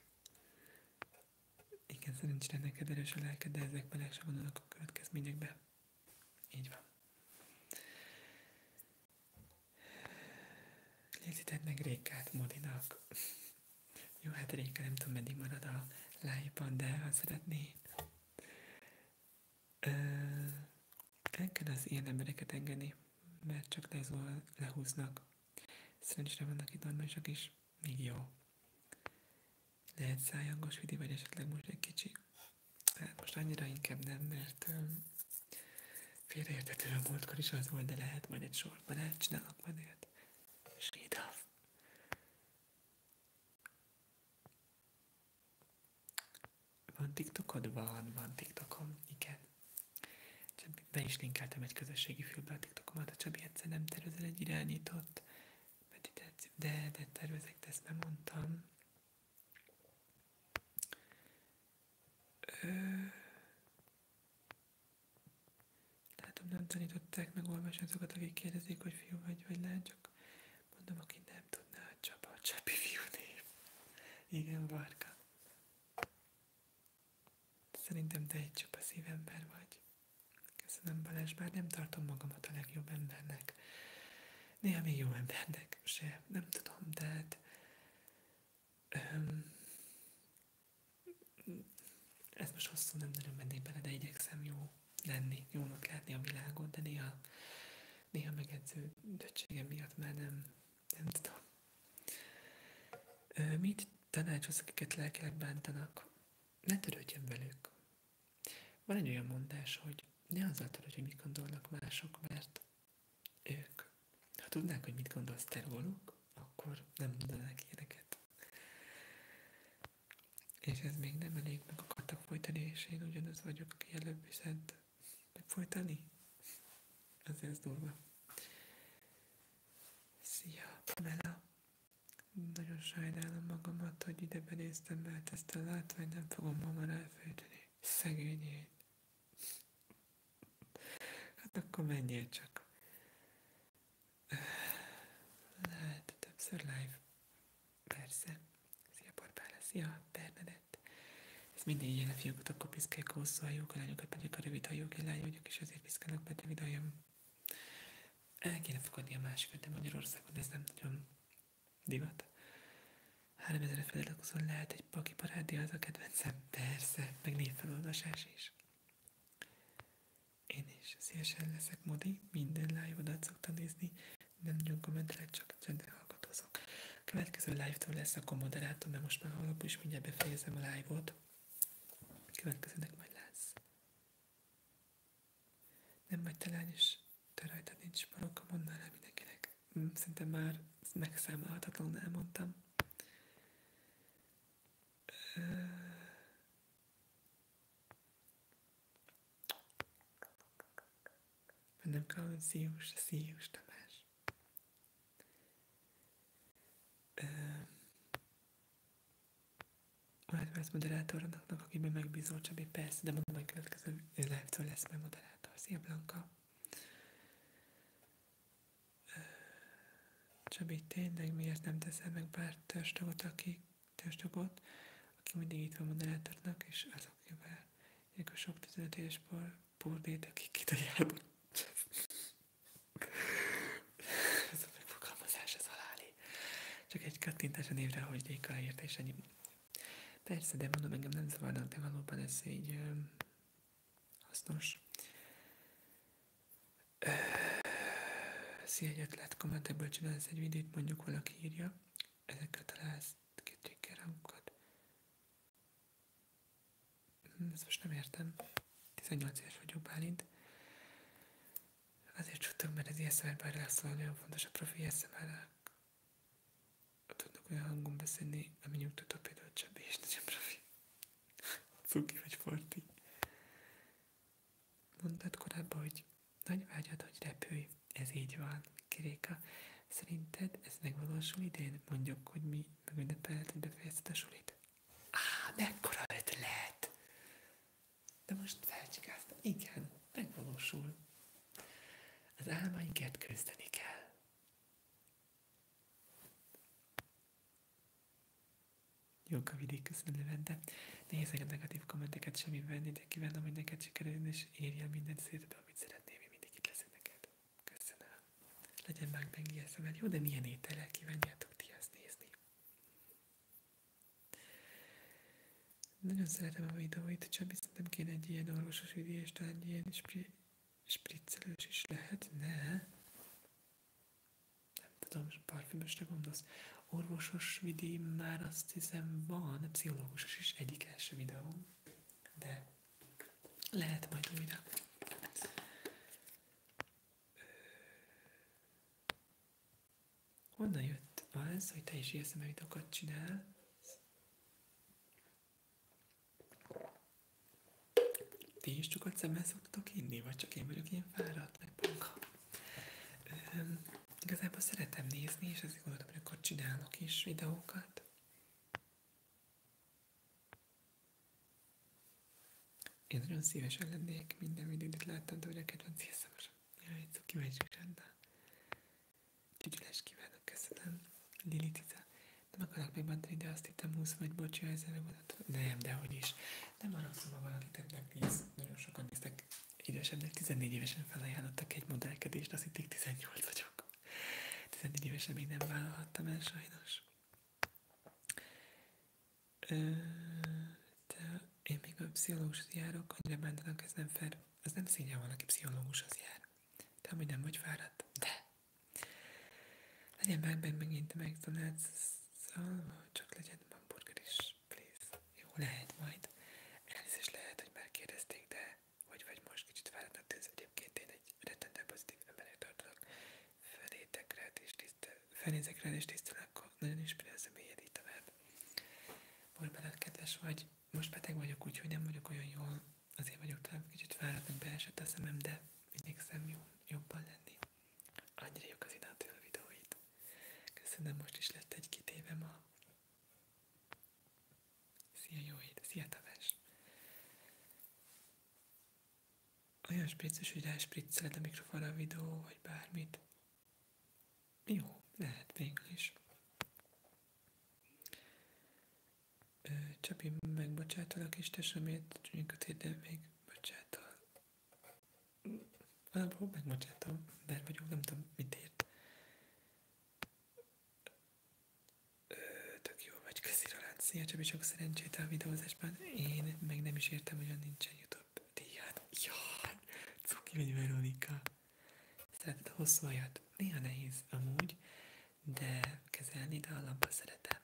Igen, szerencsére neked erős a lelked, de ezek bele vannak vonulnak a következményekbe. Így van. Léteztetnek Rékát Modinak. Jó, hát Réka nem tudom, meddig marad a lájban, de ha szeretné. Ö, el kell az ilyen embereket engedni, mert csak lezol, lehúznak. Szerencsére vannak itt normálisak is, még jó. Lehet szájangos vidi, vagy esetleg most egy kicsi. Hát most annyira inkább nem, mert Félreértetlenül a múltkor is az volt, de lehet majd egy sorban elcsinálok majd ilyet. Sídav. Van TikTokod? Van, van TikTokom, igen. Csak be is linkeltem egy közösségi fülbe a TikTokomat, a Csabi egyszer nem tervezel egy irányított meditáció, de, de tervezek, de ezt nem mondtam. Látom, nem tanították meg olvasni azokat, akik kérdezik, hogy fiú vagy, vagy lány, csak mondom, aki nem tudná, a Csaba, a Csabi fiú név. Igen, Varga. Szerintem te egy csupa szívember vagy. Köszönöm Balázs, bár nem tartom magamat a legjobb embernek. Néha még jó embernek se, nem tudom, de hát ez most hosszú, nem nagyon mennék bele, de igyekszem jó lenni, jónak látni a világot, de néha, néha megedző döttségem miatt már nem, nem tudom. mit tanácsolsz, akiket lelkileg bántanak? Ne törődjön velük. Van egy olyan mondás, hogy ne azzal törődj, hogy mit gondolnak mások, mert ők, ha tudnák, hogy mit gondolsz te róluk, akkor nem mondanák ilyeneket. És ez még nem elég, meg akartak folytani, és én ugyanaz vagyok, aki előbb is szed. Meg folytani? Azért ez durva. Szia, Pamela! Nagyon sajnálom magamat, hogy ide benéztem, mert ezt a látványt nem fogom magam elfejteni. Szegény Hát akkor menjél csak. Hát, többször live. Persze. Szia, Borbála. Szia, Bernadett. Ez minden ilyen a fiúk, akkor piszkálják a hosszú hajók, a lányokat pedig a rövid hajók. Én lány vagyok, és azért piszkálnak, mert rövid hajam. El kéne fogadni a másikat, de Magyarországon ez nem nagyon divat. 3000 feladat közül lehet egy paki parádi, az a kedvencem. Persze, meg névfelolvasás is. Én is szívesen leszek modi, minden live-odat szoktam nézni, nem nagyon kommentelek, csak csendben hallgatózok. A következő live-tól lesz a moderátor, mert most már alapul is mindjárt befejezem a live-ot. Következőnek majd lesz. Nem vagy te lány, és te rajtad nincs barokka, mondd már mindenkinek. Mm, szinte már megszámolhatatlan, elmondtam. Nem kell, hogy szíjus, szíjus Tamás. Majd lesz moderátornak, akiben megbízol Csabi, persze, de mondom, hogy következő live-től lesz majd moderátor. Szia Blanka! Csabi, tényleg miért nem teszel meg pár törstagot, aki törstagot, aki mindig itt van moderátornak, és azok jövő ezek a sok 15 éves purbét, akik kitalálnak. [laughs] ez a megfogalmazás, ez aláli Csak egy kattintás a névre, hogy Déka érte, és ennyi. Persze, de mondom, engem nem zavarnak, de valóban ez így hasznos. Szia, egyet lehet komment, ebből csinálsz egy videót, mondjuk valaki írja, ezekkel találsz kétségkel rangokat. Hm, ezt most nem értem. 18 éves vagyok, Bálint. Azért csúttok, mert az ASMR-ben lesz olyan fontos a profi ASMR tudnak olyan hangom beszélni, ami nyugtató például Csabi és Nagyobrafi. [laughs] Cuki vagy Forti. Mondtad korábban, hogy nagy vágyad, hogy repülj. Ez így van, Kiréka. Szerinted ez megvalósul idén? Mondjuk, hogy mi megünnepelhet, hogy befejezted a sulit? Á, mekkora ötlet! De most felcsikáztam. Igen, megvalósul. Az álmainket küzdeni kell. Jó Kavidi, köszönöm Levente. Nehéz a negatív kommenteket semmi venni, de kívánom, hogy neked sikerüljön, és érjél mindent széted, amit szeretnél, mi mindig itt leszek neked. Köszönöm. Legyen már meg eszemben. Jó, de milyen étellel kívánjátok ti azt nézni? Nagyon szeretem a videóit, Csabi, szerintem kéne egy ilyen orvosos videó, és talán egy ilyen Spriccelős is lehet lehetne. Nem tudom, parfümösre gondolsz. Orvosos vidém már azt hiszem van, pszichológusos is egyik első videóm, de lehet majd újra. Honnan jött az, hogy te is ASMR videókat csinálsz? Ti is csukott szemmel szoktatok inni, vagy csak én vagyok ilyen fáradt, meg panka? Üm, igazából szeretem nézni, és ezért gondoltam, hogy akkor csinálok is videókat. Én nagyon szívesen lennék minden videót, láttam, de a kedvenc hírszemesem. Jaj, szó kíváncsiak rendben. Csügyülés kívánok, köszönöm. Lili Cica. Nem akarok megbántani, de azt hittem 20 vagy, bocsi, ezzel Nem, de hogy is. Nem haragszom, ha valakit ennek néz. Nagyon sokan néztek. Édesemnek 14 évesen felajánlottak egy modellkedést, azt hitték 18 vagyok. 14 évesen még nem vállalhattam el sajnos. de én még a pszichológushoz járok, annyira bántanak, ez nem fér Ez nem szégyen, valaki pszichológushoz jár. Te amúgy nem vagy fáradt, de legyen meg, meg megint a McDonald's-szal, szóval csak legyen hamburger is, please. Jó, lehet majd. Elnézést lehet, hogy már de hogy vagy most kicsit fáradtnak tűz. Egyébként én egy rettentően pozitív embernek tartalak. Felétek rád és tisztel, felézek rád és tisztelek, nagyon inspirál személyed itt a Most már kedves vagy, most beteg vagyok, úgyhogy nem vagyok olyan jól azért vagyok talán kicsit fáradtnak beesett a szemem, de igyekszem jó, jobban lenni. Annyira jók az idántól a videóit. Köszönöm, most is lett egy kitéve a... Szia jó hét, szia Tamás! Olyan spricces, hogy ráspricceled a mikrofonra a videó, vagy bármit. Jó, lehet végül is. Csapi, megbocsátalak, és te sem értünk a még bocsátol. Valahol megbocsátom, bár vagyok, nem tudom, mit ért. Ö, tök jó vagy, köszi Roland. Szia Csabi, sok szerencsét a videózásban. Én meg nem is értem, hogy nincsen YouTube díjad. Jaj, hát, cuki vagy Veronika. Szereted a hosszú ajat? Néha nehéz amúgy, de kezelni, de a labba szeretem.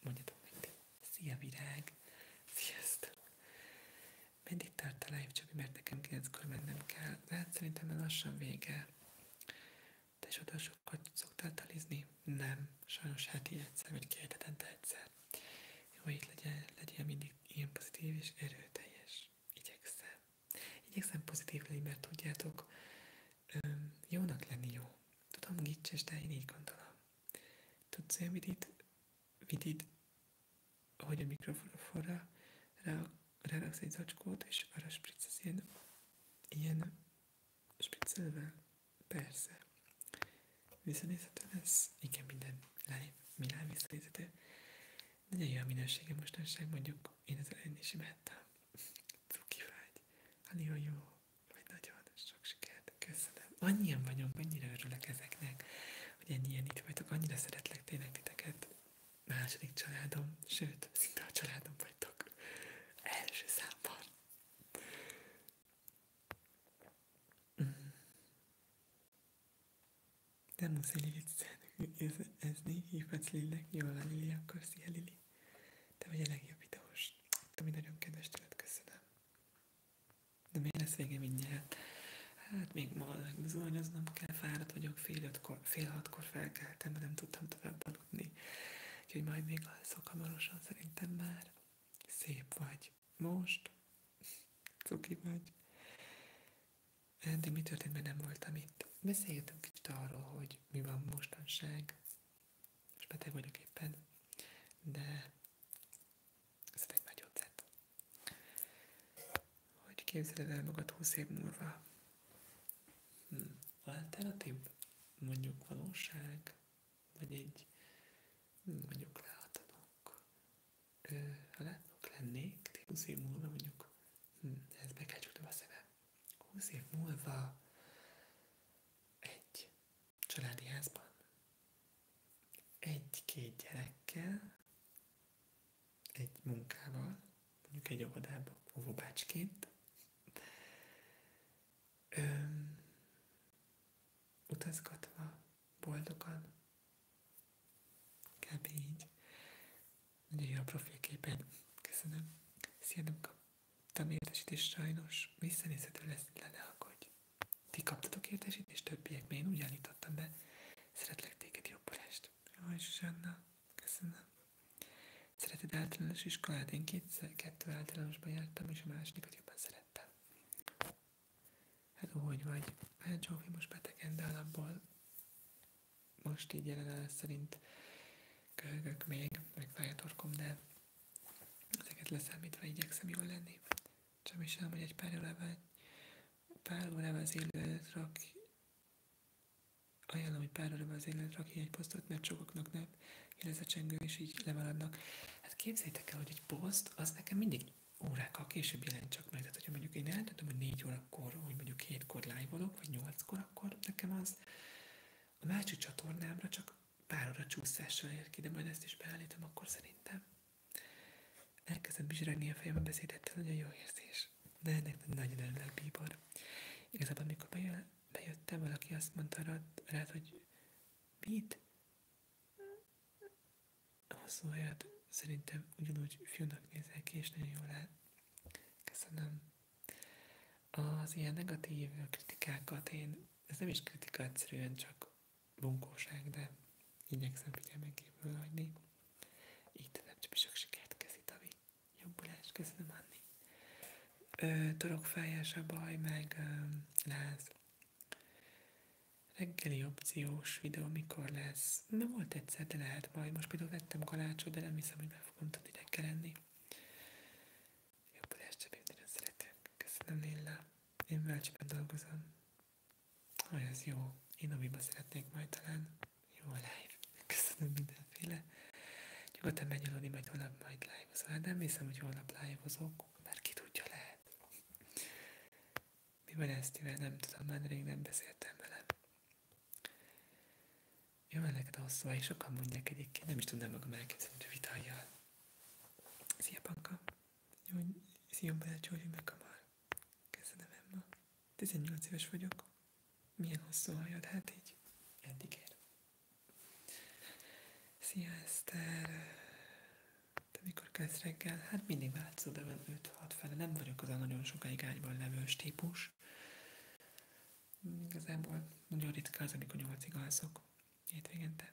Mondjatok mindig. Szia virág! Sziasztok! Mindig tart a live, Csabi, mert nekem 9 mennem kell. De hát szerintem már lassan vége. Te is oda sokat szoktál talizni? Nem. Sajnos hát így egyszer, vagy két hetente egyszer. Jó, így legyen, legyél mindig ilyen pozitív és erőteljes. Igyekszem. Igyekszem pozitív lenni, mert tudjátok, jónak lenni jó. Tudom, gicses, de én így gondolom. Tudsz hogy mit itt we did, hogy a mikrofonra rá, ráraksz egy zacskót, és arra spriccesz ilyen, ilyen spriccelve. Persze. Visszanézhető lesz? Igen, minden live, Milán visszanézhető. Nagyon jó a minősége mostanság, mondjuk én az a is imádtam. Cuki vagy. Hát jó hogy nagyon sok sikert, köszönöm. Annyian vagyunk, annyira örülök ezeknek, hogy ennyien itt vagytok, annyira szeretlek tényleg titeket. Második családom, sőt, szinte a családom vagytok. Első számban. De mm. Nem muszáj viccelni, érezni, hívhatsz Lillek, jól Lili, akkor szia Lili. Te vagy a legjobb videós. Ami nagyon kedves tőled, köszönöm. De miért lesz vége mindjárt? Hát még ma bizonyoznom kell, fáradt vagyok, fél, ötkor, fél hatkor felkeltem, de nem tudtam tovább aludni. Úgyhogy majd még alszok hamarosan, szerintem már. Szép vagy. Most? Cuki vagy. de mi történt, mert nem voltam itt. Beszéltünk kicsit arról, hogy mi van mostanság. Most beteg vagyok éppen, de ez egy nagy ötlet. Hogy képzeled el magad 20 év múlva? Hm. Alternatív? Mondjuk valóság? Vagy egy hmm, mondjuk látnok? Ha látnok lennék, 20 év múlva mondjuk, hm, ez be kell a szemem. 20 év múlva egy családi házban. Egy-két gyerekkel, egy munkával, mondjuk egy óvodában, óvobácsként. Öm, utazgatva, boldogan, kb. így. Nagyon jó a profilképed. Köszönöm. Szia, nem kaptam értesítést sajnos. Visszanézhető lesz, le ne ti kaptatok értesítést többiek, mert én úgy állítottam be. Szeretlek téged, jobbulást. Jaj, Zsuzsanna, köszönöm. Szereted általános iskolát? Én kétszer, kettő általánosban jártam, és a másodikat jobban szerettem. Hát hogy vagy? Hát Zsófi most betegen, de alapból most így jelenállás szerint köhögök még, meg fáj a torkom, de ezeket leszámítva igyekszem jól lenni. Csak is tudom, hogy egy pár órával, pár órával az élőt rak, ajánlom, hogy pár órával az élőt rak egy posztot, mert sokaknak nem kérdez a csengő, és így lemaradnak. Hát képzeljétek el, hogy egy poszt, az nekem mindig órákkal később jelent csak meg. Tehát, hogyha mondjuk én eldöntöm, hogy 4 órakor, hogy mondjuk 7-kor live vagy 8-kor, akkor nekem az a másik csatornámra csak pár óra csúszással ér ki, de majd ezt is beállítom, akkor szerintem Elkezdett bizsregni a fejem a beszédettel, nagyon jó érzés. De ennek nagyon örülök, bíbor. Igazából, amikor bejö, bejöttem, valaki azt mondta rád, rád hogy mit? Hosszú olyat szerintem ugyanúgy fiúnak nézel ki, és nagyon jól áll. Köszönöm. Az ilyen negatív kritikákat én, ez nem is kritikát egyszerűen, csak bunkóság, de igyekszem figyelmen kívül hagyni. Így tudom, csak sok sikert, köszi Tavi. Jobbulás, köszönöm Anni. Ö, torokfájás a baj, meg ö, láz. Reggeli opciós videó mikor lesz? Nem volt egyszer, de lehet majd. Most például vettem kalácsot, de nem hiszem, hogy meg fogom tudni reggel enni. jobbulás, Csabi, nagyon szeretek. Köszönöm, Lilla. Én bölcsben dolgozom. Hogy ez jó. Én amiben szeretnék majd talán jó live. Köszönöm mindenféle. Nyugodtan megnyolodni, meg holnap majd live-ozol. Nem hiszem, hogy holnap live-ozok, mert ki tudja lehet. Mi van ezt, mivel nem tudom, már rég nem beszéltem vele. Jó, van a szóval, és sokan mondják egyébként, nem is tudnám magam elképzelni, hogy vitáljál. Szia, Panka! Szia, Jó, szívom bele Georgie McCamar. Köszönöm, Emma. 18 éves vagyok. Milyen hosszú hajad, hát így eddig ér. Szia, Eszter. Te mikor kezd reggel? Hát mindig változó, de van 5-6 fele. Nem vagyok az a nagyon sokáig ágyban levős típus. Igazából nagyon ritka az, amikor 8-ig alszok hétvégente.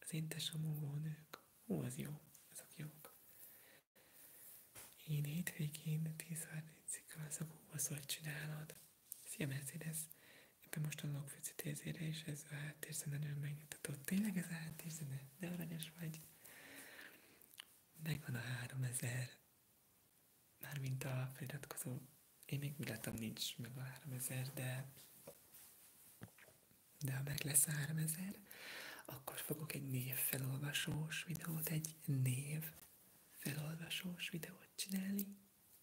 Az édes a mongolnők. Hú, az jó, ezek jók. Én hétvégén 10.30-ig alszok, hú, az hogy csinálod. Szia Mercedes! Éppen most a Lokfüci tézére is ez a háttérzene nagyon megnyugtatott. Tényleg ez a háttérzene? De aranyos vagy! Megvan a 3000. Mármint a feliratkozó. Én még úgy láttam, nincs meg a 3000, de de ha meg lesz 3000, akkor fogok egy név felolvasós, videót, egy név felolvasós, videót csinálni.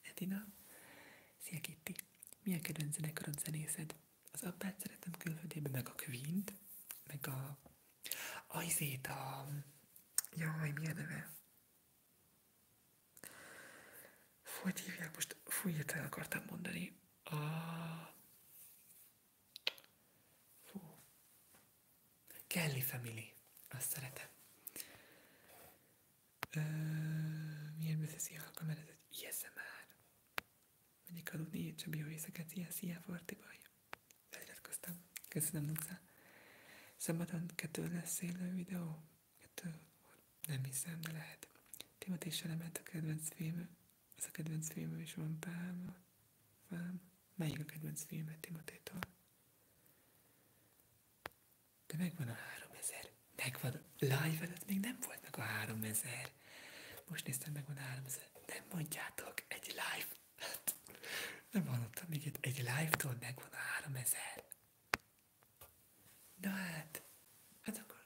Edina, szia Kitty! Mi a kedvenc zenekarod zenészed? Az abbát szeretem külföldében, meg a queen meg a... Ajzét a... Jaj, mi neve? hogy hívják most, fú, hirtelen akartam mondani. A... Fú. Kelly Family. Azt szeretem. Ö, milyen beszeszi alkalom, ez egy ISMR. Er. Megyek aludni, Csabi, jó éjszakát, szia, szia, Forti baj. Feliratkoztam. Köszönöm, Nuca. Szabadon kettő lesz élő videó? Kettő? Nem hiszem, de lehet. Timothy Selemet a kedvenc film, ez a kedvenc filmem is van, Pálma. Pálma. Melyik a kedvenc filmet Timotétól? De megvan a három 3000. Megvan. Live előtt még nem volt meg a három 3000. Most néztem, megvan a három 3000. Nem mondjátok, egy live. Hát, [laughs] nem hallottam még egy, egy live-tól megvan a 3000. Na hát, hát akkor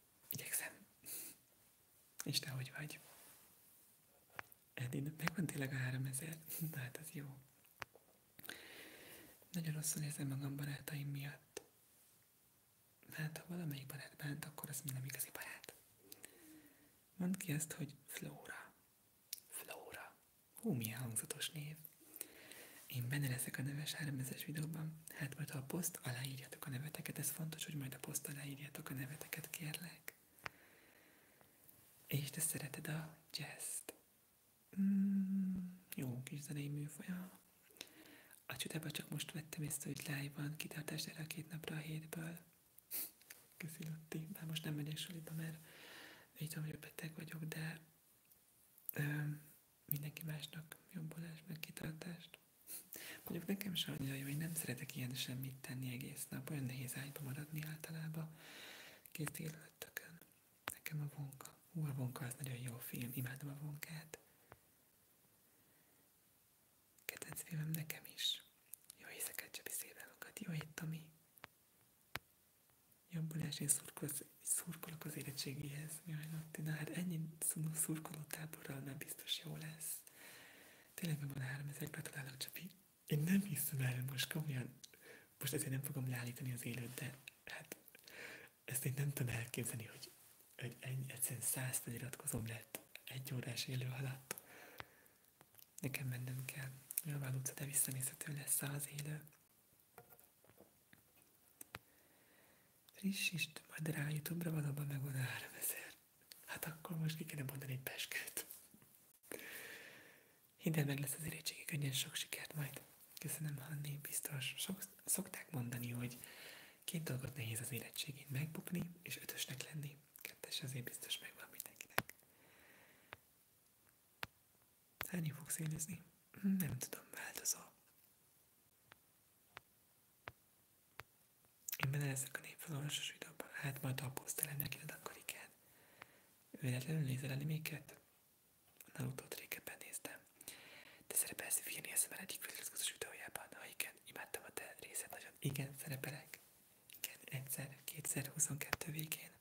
Igyekszem. És te hogy vagy? Edin, megvan tényleg a három 3000? Na hát az jó. Nagyon rosszul érzem magam barátaim miatt. Hát, ha valamelyik barát bánt, akkor az nem igazi barát. Mondd ki ezt, hogy Flóra. Flóra. Hú, milyen hangzatos név. Én benne leszek a neves 3000 videóban. Hát majd ha a poszt aláírjátok a neveteket, ez fontos, hogy majd a poszt aláírjátok a neveteket, kérlek. És te szereted a jazz-t. Mm, jó kis zenei műfolya. A csodába csak most vettem észre, hogy live-ban kitartást erre a két napra a hétből. Köszi, Lotti. most nem megyek suliba, mert így tudom, hogy beteg vagyok, de mindenki másnak jobbulást, meg kitartást. Mondjuk nekem se annyira jó, hogy nem szeretek ilyen semmit tenni egész nap, olyan nehéz ágyba maradni általában kész délelőttökön. Nekem a vonka. Hú, a vonka az nagyon jó film, imádom a vonkát. Kedvenc filmem nekem is. Jó éjszakát, Csabi, szép napokat, jó hét, Tomi. Jobbulás, én szurkolok, szurkolok az érettségihez ez? Jaj, Natti, na hát ennyi szurkoló táborral nem biztos jó lesz. Tényleg meg van három, ezek gratulálok, Csapi. Én nem hiszem el, most komolyan, most ezért nem fogom leállítani az élőt, de hát ezt én nem tudom elképzelni, hogy, hogy ennyi, egyszerűen száz feliratkozom lett egy órás élő alatt. Nekem mennem kell. Nyilván utca, de visszanézhető lesz az élő. Frissítsd, majd rá Youtube-ra valóban megvan a 3000. Hát akkor most ki kéne mondani egy peskőt. Hidd el, meg lesz az érettségi könnyen sok sikert majd. Köszönöm, Hanni, biztos. Sok, szokták mondani, hogy két dolgot nehéz az érettségén megbukni, és ötösnek lenni. Kettes azért biztos megvan mindenkinek. Hányi fogsz érezni? Nem tudom, változó. Én benne leszek a népfelolvasos videóban, hát majd apusztelemnek jön a karikát. Véletlenül nézel animéket? A Naruto-t régebben néztem. Te szerepelsz Virni Eszemben egyik feliratkozós videójában. Ha igen, imádtam a te részed nagyon. Igen, szerepelek. Igen, egyszer, 2022 végén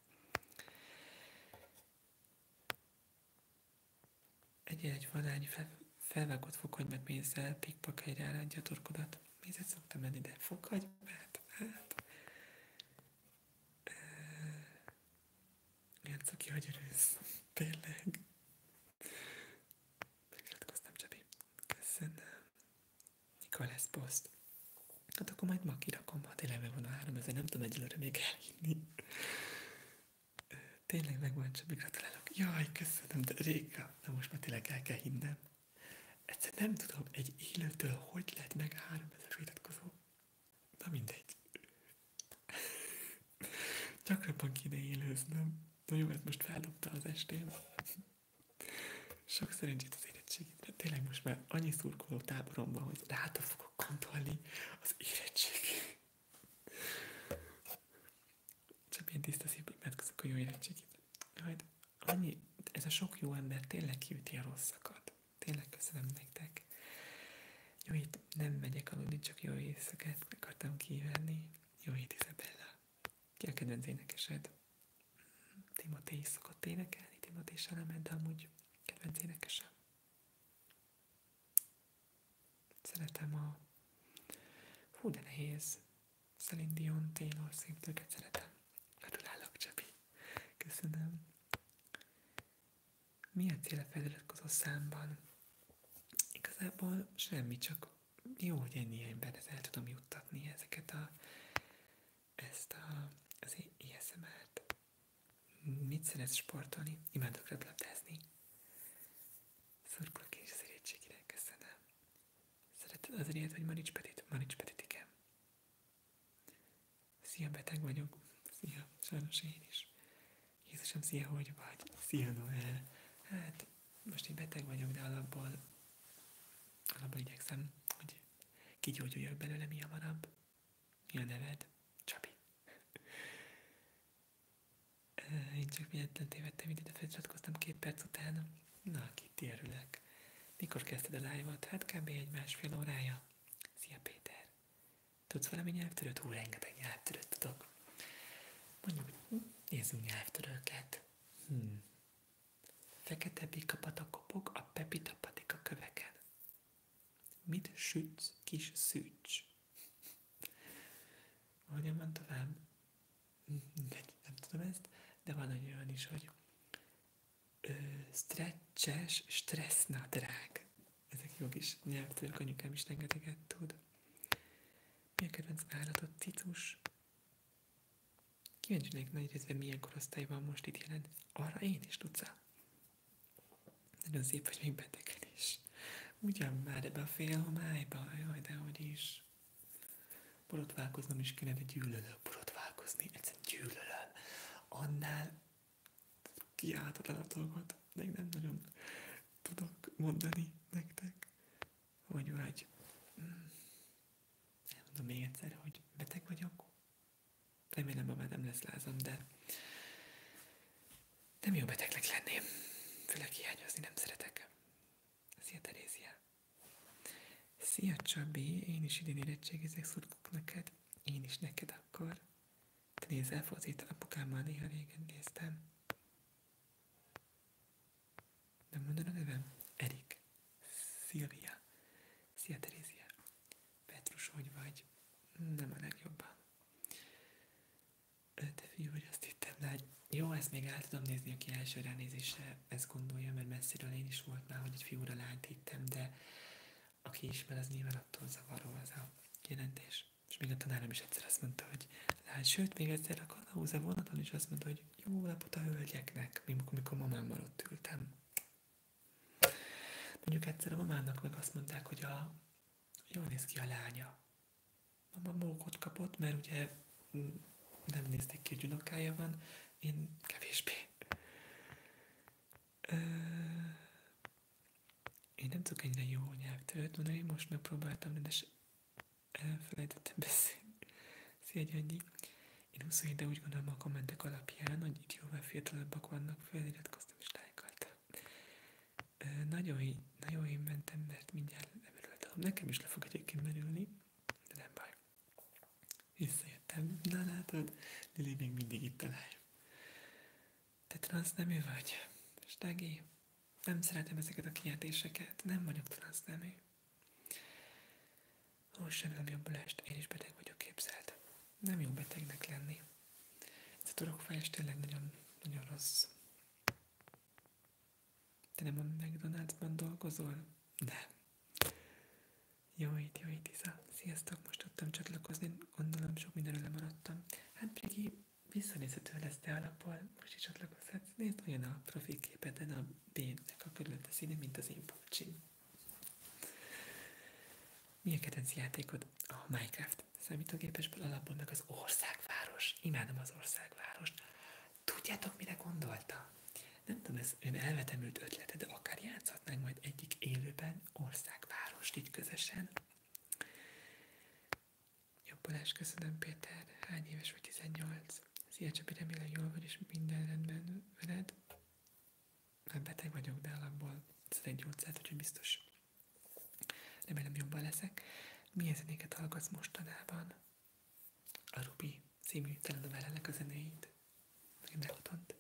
egy egy vadány fel, felvágott fokhagyma mézzel, pikpak helyre álládja a torkodat. Mézet szoktam menni, de fokhagymát, hát... hát. Ilyen cuki agyarősz, tényleg. Megiratkoztam, Csabi. Köszönöm. Nikolász Post. Hát akkor majd ma kirakom, ha tényleg megvan a 3000, nem tudom egyelőre még elhinni. Tényleg csak gratulálok. Jaj, köszönöm, de Réka, de most már tényleg el kell hinnem. Egyszerűen nem tudom, egy élőtől hogy lett meg 3000 iratkozó. Na mindegy. [laughs] Gyakrabban kéne élőznöm. Na jó, ez hát most feldobta az estém. Sok szerencsét az érettségimre. Tényleg most már annyi szurkoló táboromban, hogy ráta fogok gondolni az érettségét. Csak ilyen tiszta szívben imádkozok a jó érettségit. Majd annyi, ez a sok jó ember tényleg kiüti a rosszakat. Tényleg köszönöm nektek. Jó hét, nem megyek aludni, csak jó éjszakát akartam kívánni. Jó hét, Isabella. Ki a kedvenc énekesed? Timothée szokott énekelni, Timothée se lement, de amúgy kedvenc énekesem. Szeretem a... Hú, de nehéz. Celine Dion, Taylor széptőket szeretem. Gratulálok, Csabi. Köszönöm. Mi a cél a feliratkozó számban? Igazából semmi, csak jó, hogy ennyi emberhez el tudom juttatni ezeket a, ezt a, az ISMR-t. Mit szeretsz sportolni? Imádok röplabdázni. Szurkolok én is az irénységére, köszönöm. Szereted az ilyet, hogy Manics Petit? Manics Petit, igen. Szia, beteg vagyok. Szia, sajnos én is. Jézusom, szia, hogy vagy? Szia, Noel. Hát, most így beteg vagyok, de alapból, alapból igyekszem, hogy kigyógyuljak belőle mi a hamarabb. Mi a neved? Csabi. Én csak miatt tévedtem, ide feliratkoztam két perc után. Na, Kitty, örülök. Mikor kezdted a live-ot? Hát kb. egy másfél órája. Szia, Péter. Tudsz valami nyelvtörőt? Hú, rengeteg nyelvtörőt tudok. Mondjuk, nézzünk nyelvtörőket. Hmm. Fekete bika patakopog a pepita patika köveken. Mit sütsz, kis szűcs? Hogyan van tovább? Nem tudom ezt, de van olyan is, hogy ö, stretches stressznadrág. Ezek jók is nyelvtörök, anyukám is rengeteget tud. Mi a kedvenc állatod, cicus? Kíváncsi lennék nagy részben milyen korosztály van most itt jelent? Arra én is tudsz Nagyon szép, hogy még betegen is. Ugyan már ebbe a fél homályba, jaj, de hogy is. Borotválkoznom is kéne, de gyűlölöm borotválkozni, egyszerűen gyűlölöm. Annál kiáltatlan a dolgot, még nem nagyon tudok mondani nektek, vagy vagy. Hmm. Nem mondom még egyszer, hogy beteg vagyok. Remélem, ma már nem lesz lázam, de nem jó betegnek lenném, főleg hiányozni nem szeretek. Szia, Terézia! Szia, Csabi! Én is idén érettségizek, szurkok neked. Én is neked akkor. Te nézel focit, apukámmal néha régen néztem. Nem mondod a nevem? Erik. Szilvia. Szia, Terézia. Petrus, hogy vagy? Nem a legjobban. De fiú, hogy azt hittem, de hogy hát jó, ezt még el tudom nézni, aki első ránézésre ezt gondolja, mert messziről én is volt már, hogy egy fiúra lányt hittem, de aki ismer, az nyilván attól zavaró az a jelentés. És még a tanárom is egyszer azt mondta, hogy lát, sőt, még egyszer a kalauza vonaton is azt mondta, hogy jó napot a hölgyeknek, mikor mamámmal ott ültem. Mondjuk egyszer a mamának meg azt mondták, hogy a, jól néz ki a lánya mama mókot kapott, mert ugye mm, nem nézték ki, hogy unokája van, én kevésbé. Ö... Én nem tudok ennyire jó nyelvtörőt mondani, most megpróbáltam, de elfelejtettem beszélni. Szia Gyöngyi! Én 27 de úgy gondolom a kommentek alapján, hogy itt jóval fiatalabbak vannak, feliratkoztam és lájkoltam. Nagyon, nagyon én mentem, mert mindjárt lemerültem. Nekem is le fog egyébként merülni, de nem baj. Visszajöttem. Na látod, Lili még mindig itt talál. Te transznemű vagy, Stegi. Nem szeretem ezeket a kijelentéseket. Nem vagyok transz transznemű. Ó, semmi jobbulest, én is beteg vagyok képzelt. Nem jó betegnek lenni. Ez a torokfájás tényleg nagyon, nagyon rossz. Te nem a McDonald'sban dolgozol? Nem. Jó itt, jó itt, Isza. Sziasztok, most tudtam csatlakozni, gondolom sok mindenről lemaradtam. Hát Brigi, visszanézhető lesz, de alapból most is csatlakozhatsz. Nézd olyan a profi a B-nek a körülötte színe, mint az én pulcsim. Mi a kedvenc játékod? A Minecraft mert a számítógépesből alapból meg az országváros. Imádom az országvárost. Tudjátok, mire gondolta? Nem tudom, ez ön elvetemült ötlete, de akár játszhatnánk majd egyik élőben országvárost így közösen. Jó Balázs, köszönöm Péter. Hány éves vagy 18? Szia Csabi, remélem jól vagy, és minden rendben veled. Nem beteg vagyok, de alapból ez egy gyógyszert, úgyhogy biztos Remélem jobban leszek. Mi Milyen zenéket hallgatsz mostanában? A Rubi című telenovellának a zenéit. Én meghatont.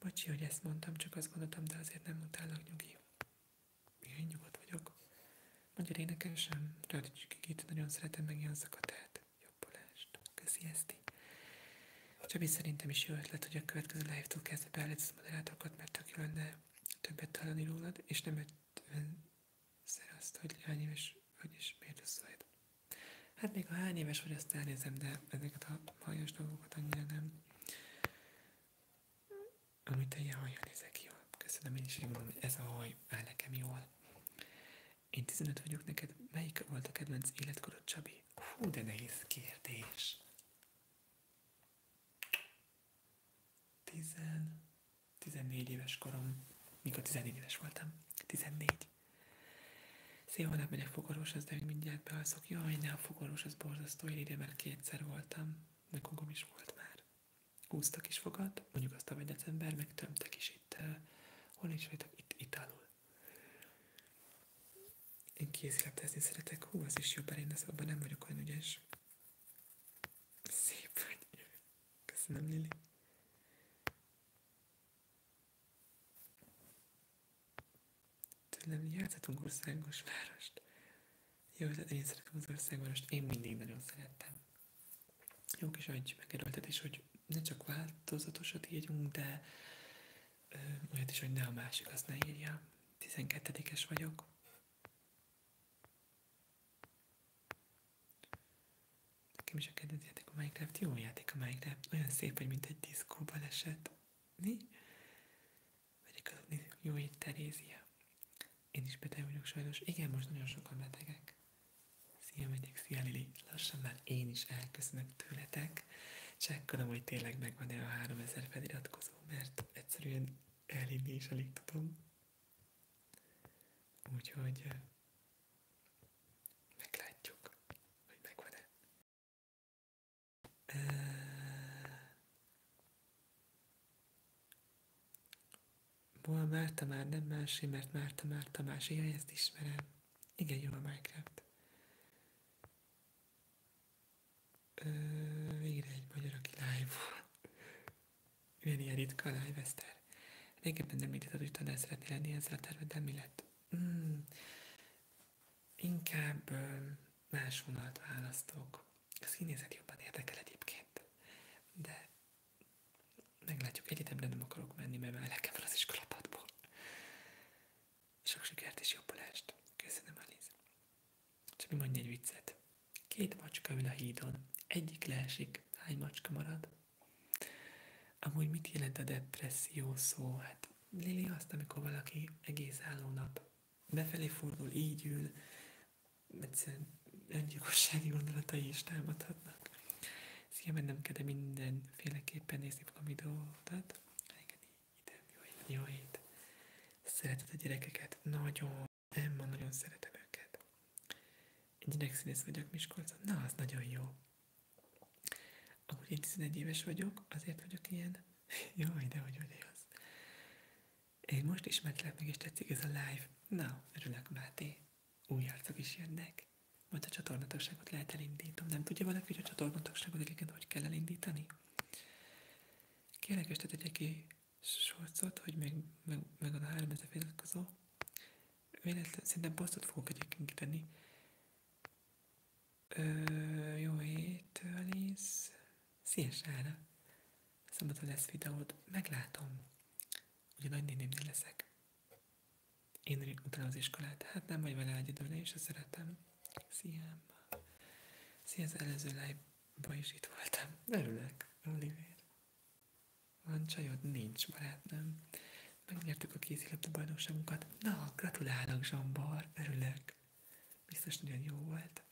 Bocsi, hogy ezt mondtam, csak azt gondoltam, de azért nem utállak nyugi. Én nyugodt vagyok. Magyar énekesem, Radics Kikit, nagyon szeretem meg ilyen szakatát. Jobbulást. Köszi ezt. Csabi, szerintem is jó ötlet, hogy a következő live-tól kezdve beállítsz moderátorokat, mert tök jó lenne többet találni rólad, és nem egy tőle azt, hogy hány éves vagy és miért összejött. Hát még a hány éves vagy, azt elnézem, de ezeket a hajas dolgokat annyira nem. Amit te ilyen hajjal nézek jól. Köszönöm, én is gondolom, hogy ez a haj áll nekem jól. Én 15 vagyok neked, melyik volt a kedvenc életkorod, Csabi? Hú, de nehéz kérdés. 15. 14 éves korom, mikor 14 éves voltam, 14. Szép Szia, holnap megyek fogorvoshoz, de mindjárt bealszok. Jaj, ne a fogorvos, az borzasztó, én ide kétszer voltam, meg kogom is volt már. Húztak is fogad, mondjuk azt tavaly december, meg tömtek is itt, uh, hol is voltak, itt, itt alul. Én kézilabdázni szeretek, hú, az is jobb, én abban nem vagyok olyan ügyes. Szép vagy. Köszönöm, Lili. Tőlem játszhatunk országos várost. Jó, tehát én szeretem az országvárost, én mindig nagyon szerettem. Jó kis agy megerőltetés, hogy ne csak változatosat írjunk, de ö, olyat is, hogy ne a másik azt ne írja. 12-es vagyok. Nekem is a kedvenc játék a Minecraft. Jó játék a Minecraft. Olyan szép, hogy mint egy diszkóban esett. Mi? Megyek az jó itt Terézia. Én is beteg vagyok sajnos. Igen, most nagyon sokan betegek. Szia, megyek, szia Lili. Lassan már én is elköszönök tőletek. Csekkolom, hogy tényleg megvan-e a 3000 feliratkozó, mert egyszerűen elhinni is tudom. Úgyhogy eh, meglátjuk, hogy megvan-e. Hol eh, Márta már nem más, mert Márta már Tamás. én ezt ismerem. Igen, jó a Minecraft. Ö, eh, végre egy magyar, aki live volt. Ugyanilyen ritka a lájveszter. Régebben említetted, hogy tanár szeretnél lenni ezzel a terveddel, mi lett? Mm, inkább más vonalat választok. A színészet jobban érdekel egyébként, de meglátjuk, egyetemre nem akarok menni, mert már lekem van az iskolapadból. Sok sikert és jobbulást. Köszönöm, Alice. Csabi mondj egy viccet. Két macska ül a hídon. Egyik leesik. Hány macska marad? Amúgy mit jelent a depresszió szó? Hát Lili azt, amikor valaki egész álló nap befelé fordul, így ül, egyszerűen öngyilkossági gondolatai is támadhatnak. Szia, mennem kell, de mindenféleképpen nézni fogom videódat. Igen, ide, jó jó hét. Szereted a gyerekeket? Nagyon. Nem, ma nagyon szeretem őket. Egy gyerekszínész vagyok Miskolcon. Na, az nagyon jó. Amúgy én 11 éves vagyok, azért vagyok ilyen. [laughs] Jaj, de hogy vagy az. Én most ismertlek meg, és tetszik ez a live. Na, örülök, Máté. Új arcok is jönnek. Majd a csatornatagságot lehet elindítom. Nem tudja valaki, hogy a csatornatagságot egyébként hogy kell elindítani? Kérlek, és tegye ki sorcot, hogy meg, meg, meg a három ezer feliratkozó. Véletlen, szerintem posztot fogok egyébként tenni. Ö, jó hét, Alice. Szia, Sára. Szombaton lesz videód. Meglátom. Ugye nagynénémnél leszek. Én utána az iskolát. Hát nem vagy vele egyedül, én a szeretem. Szia. Szia, az előző live-ban is itt voltam. Örülök, Oliver. Van csajod? Nincs, barátnőm. Megnyertük a kézilabda bajnokságunkat. Na, gratulálok, Zsombor, örülök. Biztos nagyon jó volt.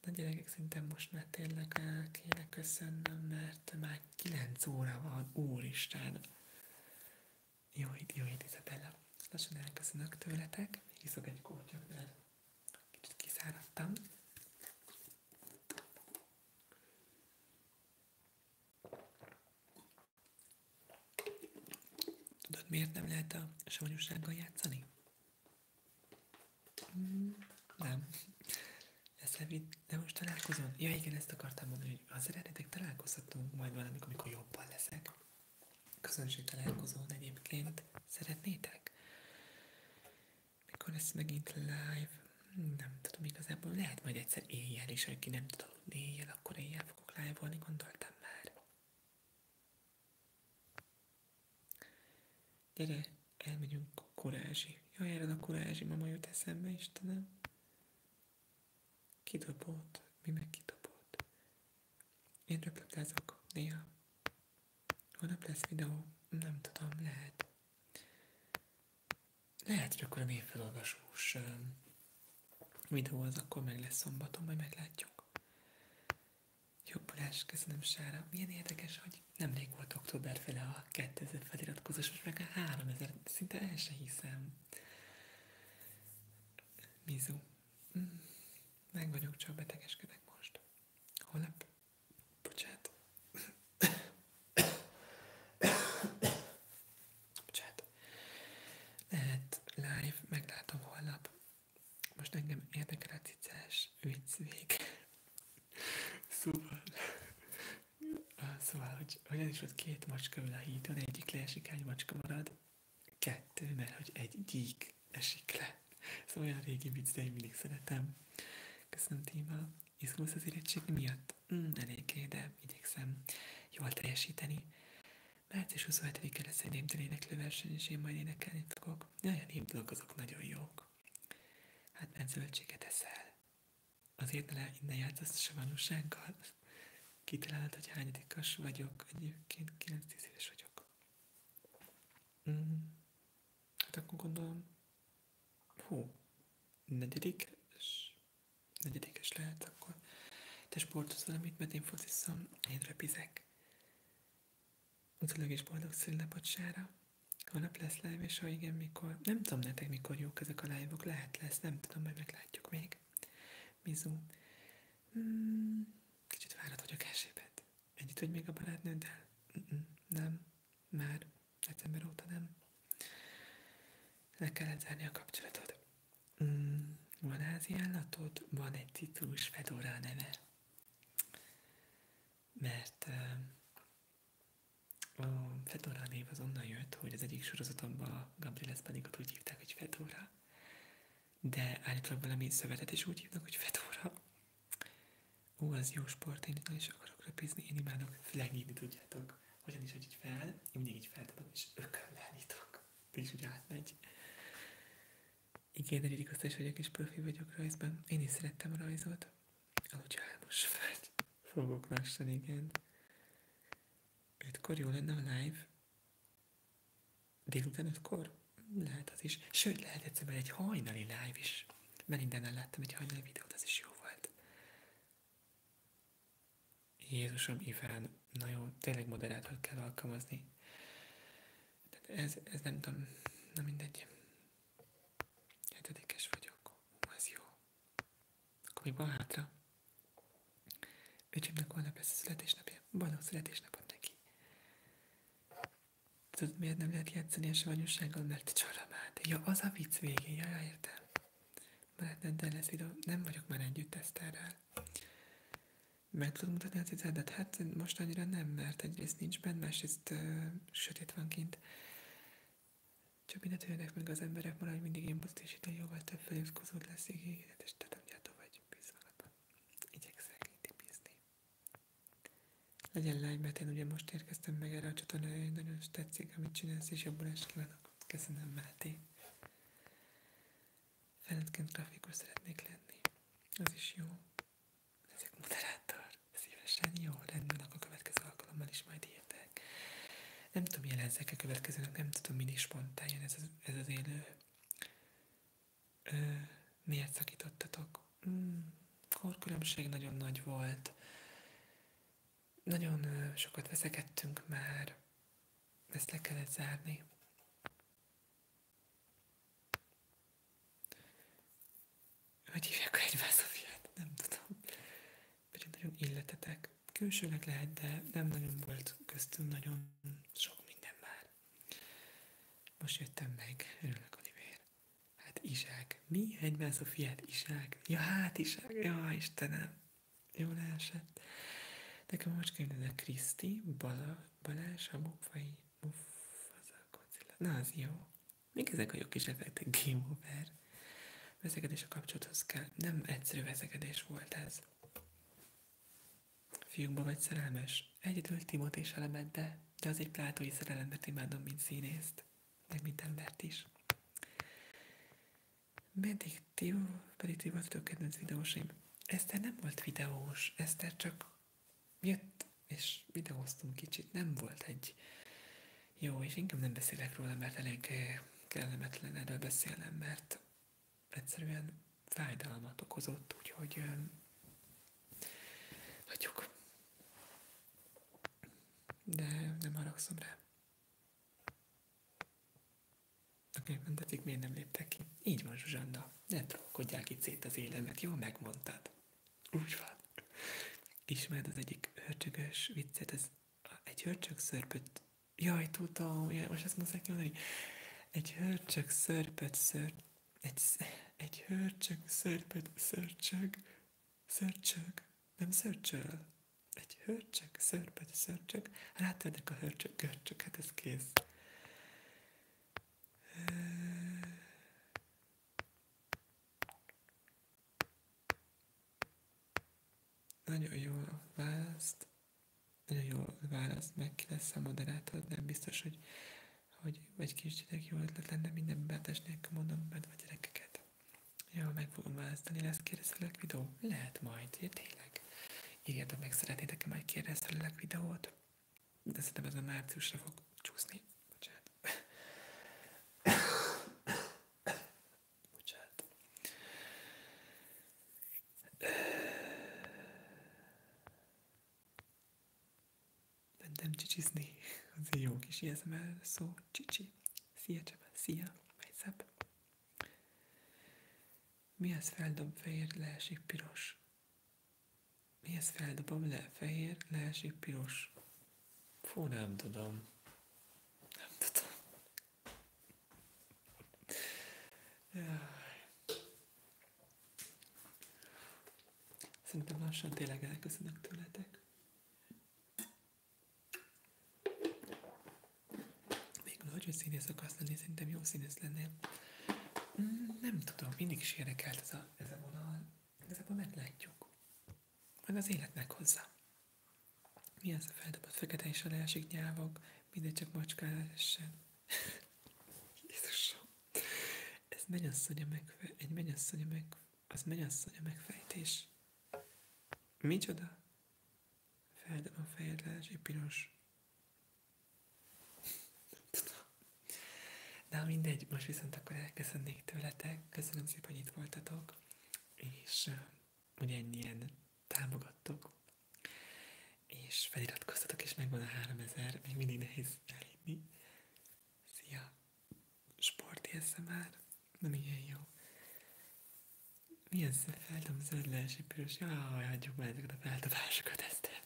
Na gyerekek, szerintem most már tényleg el eh, kéne köszönnöm, mert már 9 óra van, úristen. Jó hét, jó hét, Izabella. Lassan elköszönök tőletek, még iszok egy kortyot, mert Tudod, miért nem lehet a savanyúsággal játszani? Mm, nem. Lesz Levid, de most találkozom. Ja igen, ezt akartam mondani, hogy ha szeretnétek, találkozhatunk majd valamikor, amikor jobban leszek. Közönség találkozón egyébként szeretnétek? Mikor lesz megint live? Nem tudom igazából, lehet majd egyszer éjjel is, aki nem tud aludni éjjel, akkor éjjel fogok live-olni, gondoltam már. Gyere, elmegyünk a kurázsi. Jó erre a kurázsi mama jut eszembe, Istenem. Kidobott, mi meg kidobott. Én röpöplázok néha. Holnap lesz videó? Nem tudom, lehet. Lehet, hogy akkor a mély felolvasós videó az akkor meg lesz szombaton, majd meglátjuk. Jó Balázs, köszönöm Sára. Milyen érdekes, hogy nemrég volt októberfele a 2000 feliratkozós, most meg a 3000, szinte el se hiszem. Mizu. Mm. Meg vagyok, csak betegeskedek most. Holnap Bocsánat. Bocsánat. live, meglátom holnap. Most engem érdekel a cicás vicc vége. Szóval... Ah, szóval, hogy olyan is volt két macska a hídon, egyik leesik, egy macska marad. Kettő, mert hogy egy gyík esik, le. Ez olyan régi vicc, de én mindig szeretem. Köszönöm, Tíma. Izgulsz az érettség miatt? Mm, eléggé, de igyekszem jól teljesíteni. Március 27-e lesz egy néptelen éneklőverseny, és én majd énekelni fogok. Jaj, a népdalok azok nagyon jók. Hát nem zöldséget eszel. Azért ne innen játszasz a vanúsággal. Kitalálod, hogy hányadikas vagyok. Egyébként 9-10 éves vagyok. Mm. Hát akkor gondolom, hú, negyedik, és negyedikes lehet, akkor te sportolsz valamit, mert én fociszom, én repizek. Utolog is boldog szülinapocsára. Holnap lesz live, és ha igen, mikor... Nem tudom nektek, mikor jók ezek a live Lehet lesz, nem tudom, majd meglátjuk még. Mizu. Hmm, kicsit várat vagyok esélyben. Együtt vagy még a barátnőddel? Nem, már december óta nem. Le kellett zárni a kapcsolatot. Mm, van állatod? Van egy citrus fedora neve. Mert a fedora név az onnan jött, hogy az egyik sorozatomban Gabriel Espanikot úgy hívták, hogy fedora. De állítólag valami szövetet is úgy hívnak, hogy fedora. Ó, az jó sport, én itt nagyon is akarok röpizni, én imádok flegítni, tudjátok. Hogyan is, hogy így fel, én mindig így feltapom, és ököllel nyitok. És úgy átmegy. Igen, hogy vagyok, és profi vagyok rajzban. Én is szerettem rajzot. Aludja álmos vagy. Fogok lassan, igen. Ötkor jó lenne a live. Délután ötkor? Lehet az is. Sőt, lehet egyszer egy hajnali live is mert minden mindennel láttam egy hajnali videót, az is jó volt. Jézusom, Iván, na jó, tényleg moderátor kell alkalmazni. Tehát ez, ez nem tudom, na mindegy. Hetedikes vagyok, Hú, ez jó. Akkor még van hátra? Öcsémnek holnap lesz a születésnapja, boldog születésnapot neki. Tudod, miért nem lehet játszani a savanyúsággal? Mert csalamát. Ja, az a vicc végén, ja, ja nem de lesz videó. Nem vagyok már együtt Eszterrel. Meg tudod mutatni a cicedet? Hát most annyira nem, mert egyrészt nincs benne, másrészt uh, sötét van kint. Csak mindent jönnek meg az emberek, maradj mindig én buzdító jóval több feliratkozód lesz, és ígéretes, tehát vagy bíz magadban. Igyekszek így bízni. Legyen mert én ugye most érkeztem meg erre a csatornára, hogy nagyon is tetszik, amit csinálsz, és jobban is kívánok. Köszönöm, Máté. Ferencként grafikus szeretnék lenni. Az is jó. Ezek moderátor. Szívesen jó. Rendben, akkor a következő alkalommal is majd értek. Nem tudom, jelenszek a következőnek, nem tudom, mi is spontán jön ez az, ez az élő. Ö, miért szakítottatok? Mm, korkülönbség nagyon nagy volt. Nagyon sokat veszekedtünk már, ezt le kellett zárni. Hogy hívják egymást a fiát? Nem tudom. Pedig nagyon illetetek. Külsőleg lehet, de nem nagyon volt köztünk nagyon sok minden már. Most jöttem meg, örülök, Olivér. Hát Isák, Mi? Egymász a fiát? Isák? Ja, hát Isák, Ja, Istenem. Jól esett. Nekem most kellene Kriszti, Bala, Balázs, a az a Godzilla. Na, az jó. Még ezek a jó kis effektek, game over. Veszekedés a kapcsolathoz kell. Nem egyszerű veszekedés volt ez. Fiúkba vagy szerelmes? Egyedül Timot és elemetbe de az egy plátói szerelemet imádom, mint színészt, meg mint embert is. Meddig ti, pedig ti voltatok kedvenc videósim. Eszter nem volt videós, Eszter csak jött, és videóztunk kicsit, nem volt egy jó, és inkább nem beszélek róla, mert elég eh, kellemetlen erről beszélnem, mert egyszerűen fájdalmat okozott, úgyhogy eh, Hagyjuk. De nem haragszom rá. Oké, okay, miért nem léptek ki? Így van, Zsuzsanna. Ne trollkodják itt szét az élemek, jól megmondtad. Úgy van. Ismered az egyik hörcsögös viccet, az egy hörcsög szörpöt... Jaj, tudom, jaj, most ezt azt muszáj kimondani. Egy hörcsög szörpöt ször... Egy, egy hörcsög szörpöt szörcsög Szörcsög, nem szörcsöl. Egy hörcsög, szörp, egy szörcsög. Rátörnek a hörcsög, görcsög, hát ez kész. Nagyon jól választ, nagyon jól választ, meg ki lesz a moderátor, de biztos, hogy hogy vagy kicsinek jó ötlet lenne minden betes nélkül mondom bent a gyerekeket. Jó, meg fogom választani, lesz kérdeztelek videó? Lehet majd, ja, tényleg. Írjátok meg, szeretnétek majd kérdeztelek videót? De szerintem ez a márciusra fog csúszni. Bocsánat. [coughs] Bocsánat mentem csicsizni. Az egy jó kis jezmel szó, csicsi. Szia Csaba, szia, Mejszep. Mi az feldob fehér, leesik piros? Mi az feldobom le fehér, leesik piros? Fú, nem tudom. Nem tudom. Jaj. Szerintem lassan tényleg elköszönök tőletek. Még nagy, hogy színész akarsz lenni, szerintem jó színész lennél. Mm, nem tudom, mindig is érdekelt ez a, ez a vonal. Igazából meglátjuk. Majd az életnek hozzá. Mi az a feldobott fekete és a leesik nyávok, mindegy csak macskára essen. [laughs] Jézusom! Ez mennyasszonya megfe... Egy mennyasszonya megfe... Az mennyasszony a megfejtés. Micsoda? Feldem a fejed, lázsi, piros. [laughs] Na mindegy, most viszont akkor elköszönnék tőletek. Köszönöm szépen, hogy itt voltatok. És hogy ennyien támogattok. És feliratkoztatok, és megvan a 3000, még mindig nehéz elérni. Szia! sport már, de milyen jó. Mi az a feldobzöld leesi piros. Jaj, hagyjuk már ezeket a feldobásokat, Eszter.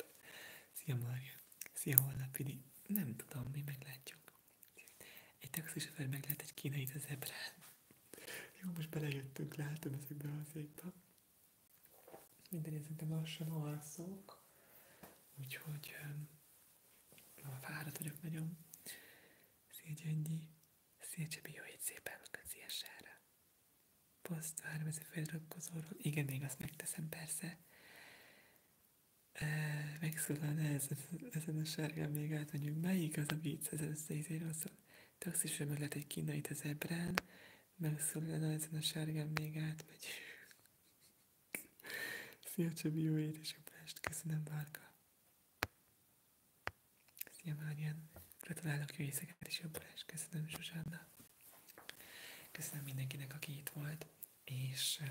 Szia, Marja. Szia, Hollapidi. Nem tudom, mi meglátjuk. Egy taxisofőr meglát egy kínai az ebrán. Jó, most belejöttünk, látom ezekbe a székbe. Minden szerintem lassan alszok. Úgyhogy Ma fáradt vagyok nagyon. Szégyengyi, Szécse Bió jó szép elnököt CSR-re. Poszt, vármezi feliratkozóról. Igen, még azt megteszem, persze. E, Megszólal ez, ezen a sárga még át, hogy Melyik az a vicc? Ez összeizéről szól. Taxisra meg lehet egy kínait az ebrán. Megszólal ez a sárga még át, hogy. Szia Csabi, jó édesapást, köszönöm Bárka. Szia Márián, gratulálok, jó éjszakát és jobbulást, köszönöm Zsuzsanna. Köszönöm mindenkinek, aki itt volt, és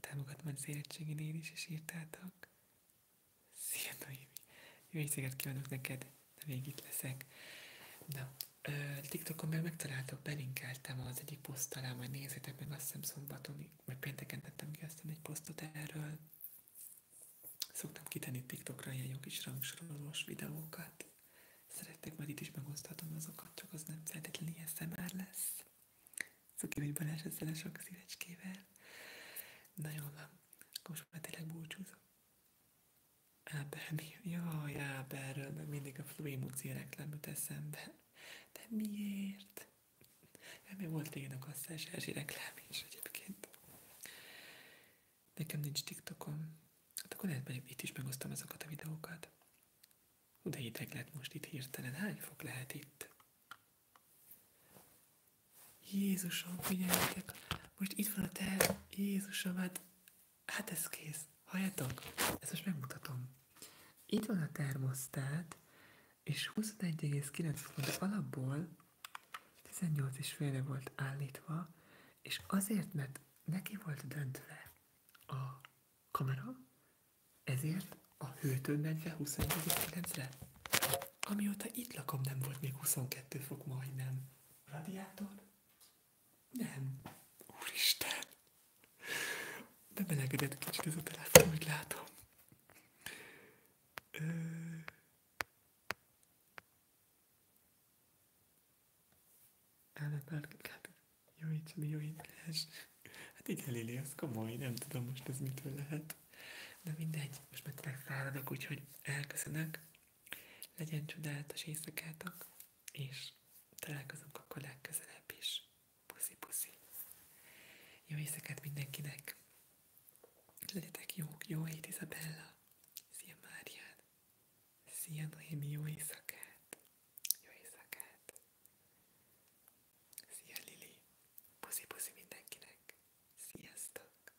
támogatom az érettségén én is, és írtátok. Szia Noémi, jó éjszakát kívánok neked, de még itt leszek. Na, TikTokon meg megtaláltam, belinkeltem az egyik poszt alá, majd nézzétek meg, azt hiszem szombaton, vagy pénteken tettem ki aztán egy posztot erről. Szoktam kitenni TikTokra ilyen jó kis rangsorolós videókat. Szerettek, majd itt is megoszthatom azokat, csak az nem feltétlenül ilyen szemár lesz. Szuki, hogy Balázs ezzel a sok szívecskével. Na jól van, akkor most már tényleg búcsúzok. Áber, mi? Jaj, Áberről, meg mindig a Fluimuci reklám eszembe. De miért? Nem, mert volt régen a kasszás Erzsi reklám is egyébként. Nekem nincs TikTokom. Hát akkor lehet, hogy itt is megosztom azokat a videókat. Hú, de hideg lett most itt hirtelen. Hány fok lehet itt? Jézusom, figyeljetek! Most itt van a tel. Jézusom, hát Hát ez kész. Halljátok? Ezt most megmutatom. Itt van a termosztát, és 21,9 fokon alapból 18,5-re volt állítva, és azért, mert neki volt döntve a kamera, ezért a hőtől mentve 21,9-re. Amióta itt lakom, nem volt még 22 fok majdnem. Radiátor? Nem. Úristen! de Bemelegedett kicsit ez a telefon, hogy látom. Ö... Ellenállt, hát javítson, javítás. Hát igen, Lili, az komoly, nem tudom most ez mitől lehet. De mindegy, most már tényleg úgyhogy elköszönök. Legyen csodálatos éjszakátok, és találkozunk akkor legközelebb is. Puszi-puszi. Jó éjszakát mindenkinek. Legyetek jók. Jó hét, Izabella. Szia, Márián. Szia, Noémi. Jó éjszakát. Jó éjszakát. Szia, Lili. Puszi-puszi mindenkinek. Sziasztok.